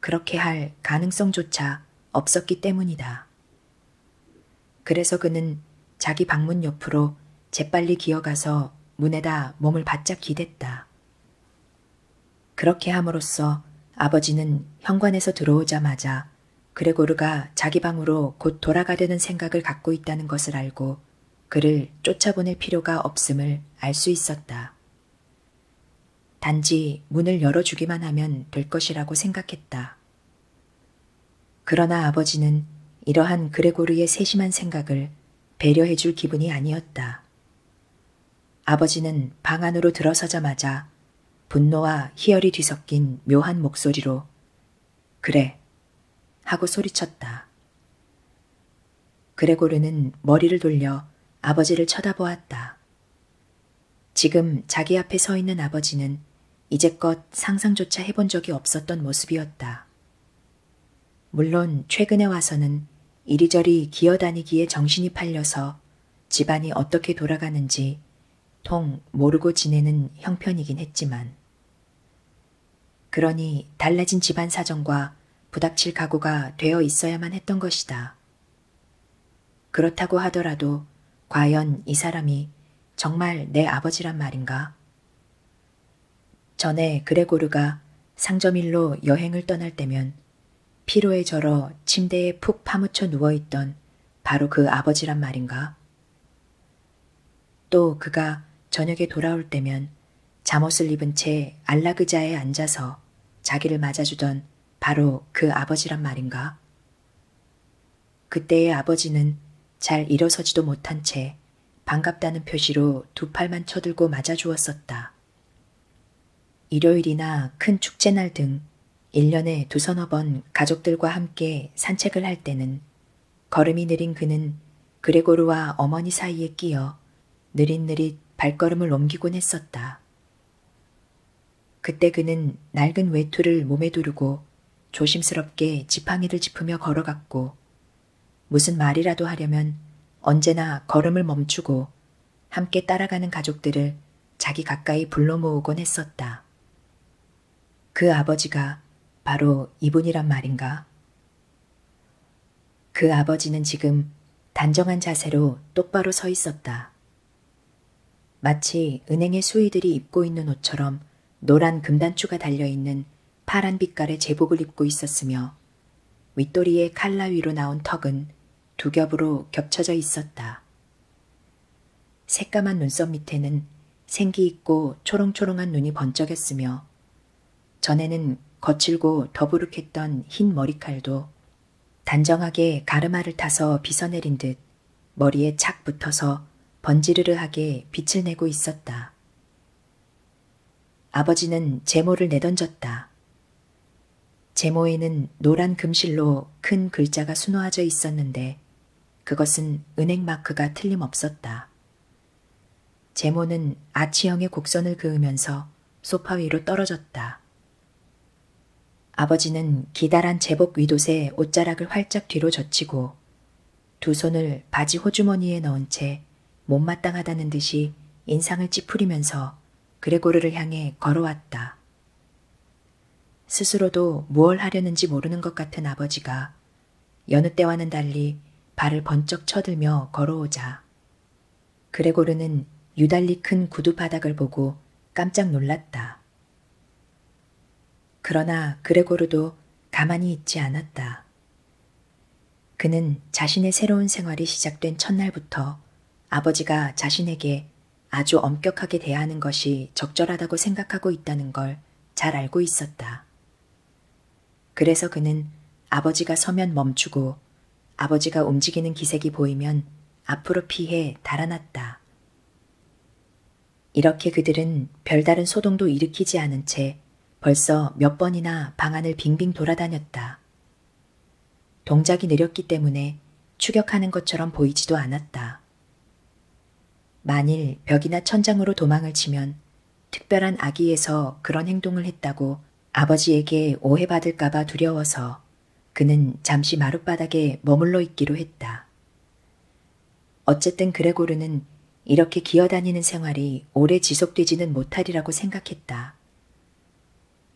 Speaker 1: 그렇게 할 가능성조차 없었기 때문이다. 그래서 그는 자기 방문 옆으로 재빨리 기어가서 문에다 몸을 바짝 기댔다. 그렇게 함으로써 아버지는 현관에서 들어오자마자 그레고르가 자기 방으로 곧 돌아가려는 생각을 갖고 있다는 것을 알고 그를 쫓아보낼 필요가 없음을 알 수 있었다. 단지 문을 열어주기만 하면 될 것이라고 생각했다. 그러나 아버지는 이러한 그레고르의 세심한 생각을 배려해 줄 기분이 아니었다. 아버지는 방 안으로 들어서자마자 분노와 희열이 뒤섞인 묘한 목소리로 그래 하고 소리쳤다. 그레고르는 머리를 돌려 아버지를 쳐다보았다. 지금 자기 앞에 서 있는 아버지는 이제껏 상상조차 해본 적이 없었던 모습이었다. 물론 최근에 와서는 이리저리 기어다니기에 정신이 팔려서 집안이 어떻게 돌아가는지 통 모르고 지내는 형편이긴 했지만, 그러니 달라진 집안 사정과 부닥칠 각오가 되어 있어야만 했던 것이다. 그렇다고 하더라도 과연 이 사람이 정말 내 아버지란 말인가? 전에 그레고르가 상점일로 여행을 떠날 때면 피로에 절어 침대에 푹 파묻혀 누워있던 바로 그 아버지란 말인가? 또 그가 저녁에 돌아올 때면 잠옷을 입은 채 안락의자에 앉아서 자기를 맞아주던 바로 그 아버지란 말인가? 그때의 아버지는 잘 일어서지도 못한 채 반갑다는 표시로 두 팔만 쳐들고 맞아주었었다. 일요일이나 큰 축제날 등 1년에 두서너 번 가족들과 함께 산책을 할 때는 걸음이 느린 그는 그레고르와 어머니 사이에 끼어 느릿느릿 발걸음을 옮기곤 했었다. 그때 그는 낡은 외투를 몸에 두르고 조심스럽게 지팡이를 짚으며 걸어갔고 무슨 말이라도 하려면 언제나 걸음을 멈추고 함께 따라가는 가족들을 자기 가까이 불러 모으곤 했었다. 그 아버지가 바로 이분이란 말인가? 그 아버지는 지금 단정한 자세로 똑바로 서 있었다. 마치 은행의 수의들이 입고 있는 옷처럼 노란 금단추가 달려있는 파란 빛깔의 제복을 입고 있었으며 윗도리의 칼라 위로 나온 턱은 두 겹으로 겹쳐져 있었다. 새까만 눈썹 밑에는 생기 있고 초롱초롱한 눈이 번쩍였으며 전에는 거칠고 더부룩했던 흰 머리칼도 단정하게 가르마를 타서 빗어내린 듯 머리에 착 붙어서 번지르르하게 빛을 내고 있었다. 아버지는 제모를 내던졌다. 제모에는 노란 금실로 큰 글자가 수놓아져 있었는데 그것은 은행 마크가 틀림없었다. 제모는 아치형의 곡선을 그으면서 소파 위로 떨어졌다. 아버지는 기다란 제복 위도새 옷자락을 활짝 뒤로 젖히고 두 손을 바지 호주머니에 넣은 채 못마땅하다는 듯이 인상을 찌푸리면서 그레고르를 향해 걸어왔다. 스스로도 무얼 하려는지 모르는 것 같은 아버지가 여느 때와는 달리 발을 번쩍 쳐들며 걸어오자 그레고르는 유달리 큰 구두 바닥을 보고 깜짝 놀랐다. 있었다. 그러나 그레고르도 가만히 있지 않았다. 그는 자신의 새로운 생활이 시작된 첫날부터 아버지가 자신에게 아주 엄격하게 대하는 것이 적절하다고 생각하고 있다는 걸 잘 알고 있었다. 그래서 그는 아버지가 서면 멈추고 아버지가 움직이는 기색이 보이면 앞으로 피해 달아났다. 이렇게 그들은 별다른 소동도 일으키지 않은 채 벌써 몇 번이나 방안을 빙빙 돌아다녔다. 동작이 느렸기 때문에 추격하는 것처럼 보이지도 않았다. 만일 벽이나 천장으로 도망을 치면 특별한 악의에서 그런 행동을 했다고 아버지에게 오해받을까봐 두려워서 그는 잠시 마룻바닥에 머물러 있기로 했다. 어쨌든 그레고르는 이렇게 기어다니는 생활이 오래 지속되지는 못하리라고 생각했다.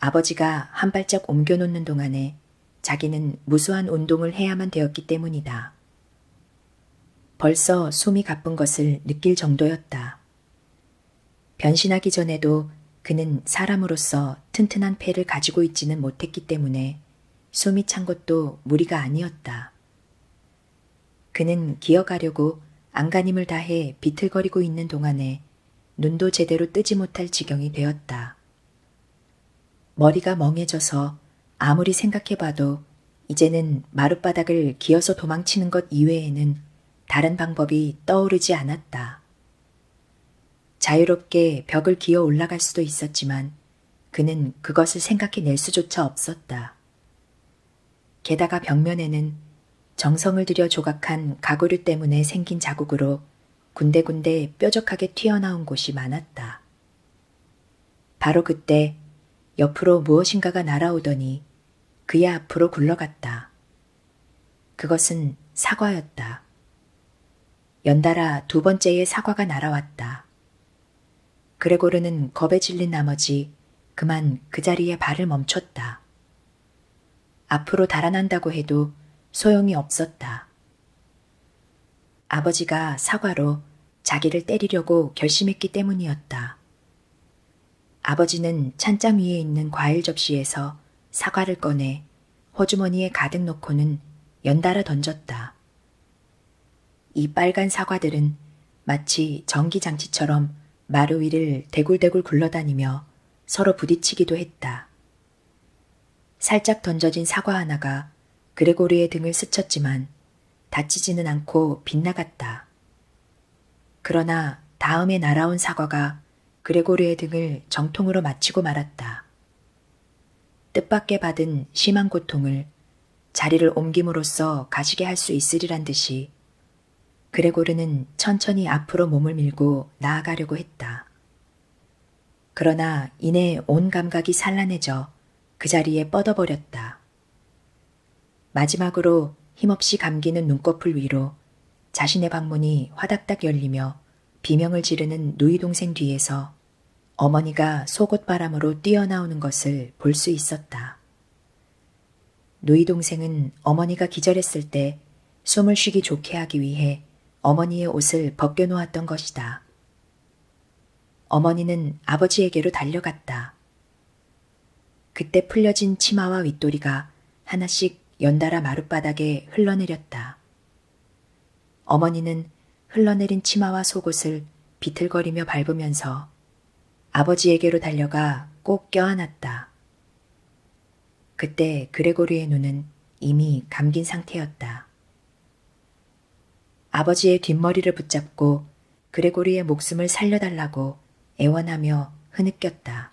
Speaker 1: 아버지가 한 발짝 옮겨놓는 동안에 자기는 무수한 운동을 해야만 되었기 때문이다. 벌써 숨이 가쁜 것을 느낄 정도였다. 변신하기 전에도 그는 사람으로서 튼튼한 패를 가지고 있지는 못했기 때문에 솜이 찬 것도 무리가 아니었다. 그는 기어가려고 안간힘을 다해 비틀거리고 있는 동안에 눈도 제대로 뜨지 못할 지경이 되었다. 머리가 멍해져서 아무리 생각해봐도 이제는 마룻바닥을 기어서 도망치는 것 이외에는 다른 방법이 떠오르지 않았다. 자유롭게 벽을 기어 올라갈 수도 있었지만 그는 그것을 생각해낼 수조차 없었다. 게다가 벽면에는 정성을 들여 조각한 가구류 때문에 생긴 자국으로 군데군데 뾰족하게 튀어나온 곳이 많았다. 바로 그때 옆으로 무엇인가가 날아오더니 그의 앞으로 굴러갔다. 그것은 사과였다. 연달아 두 번째의 사과가 날아왔다. 그레고르는 겁에 질린 나머지 그만 그 자리에 발을 멈췄다. 앞으로 달아난다고 해도 소용이 없었다. 아버지가 사과로 자기를 때리려고 결심했기 때문이었다. 아버지는 찬장 위에 있는 과일 접시에서 사과를 꺼내 호주머니에 가득 넣고는 연달아 던졌다. 이 빨간 사과들은 마치 전기장치처럼 마루 위를 대굴대굴 굴러다니며 서로 부딪히기도 했다. 살짝 던져진 사과 하나가 그레고리의 등을 스쳤지만 다치지는 않고 빗나갔다. 그러나 다음에 날아온 사과가 그레고리의 등을 정통으로 맞히고 말았다. 뜻밖에 받은 심한 고통을 자리를 옮김으로써 가시게 할 수 있으리란 듯이 그레고르는 천천히 앞으로 몸을 밀고 나아가려고 했다. 그러나 이내 온 감각이 산란해져 그 자리에 뻗어버렸다. 마지막으로 힘없이 감기는 눈꺼풀 위로 자신의 방문이 화닥닥 열리며 비명을 지르는 누이 동생 뒤에서 어머니가 속옷바람으로 뛰어나오는 것을 볼 수 있었다. 누이 동생은 어머니가 기절했을 때 숨을 쉬기 좋게 하기 위해 어머니의 옷을 벗겨놓았던 것이다. 어머니는 아버지에게로 달려갔다. 그때 풀려진 치마와 윗도리가 하나씩 연달아 마룻바닥에 흘러내렸다. 어머니는 흘러내린 치마와 속옷을 비틀거리며 밟으면서 아버지에게로 달려가 꼭 껴안았다. 그때 그레고리의 눈은 이미 감긴 상태였다. 아버지의 뒷머리를 붙잡고 그레고리의 목숨을 살려달라고 애원하며 흐느꼈다.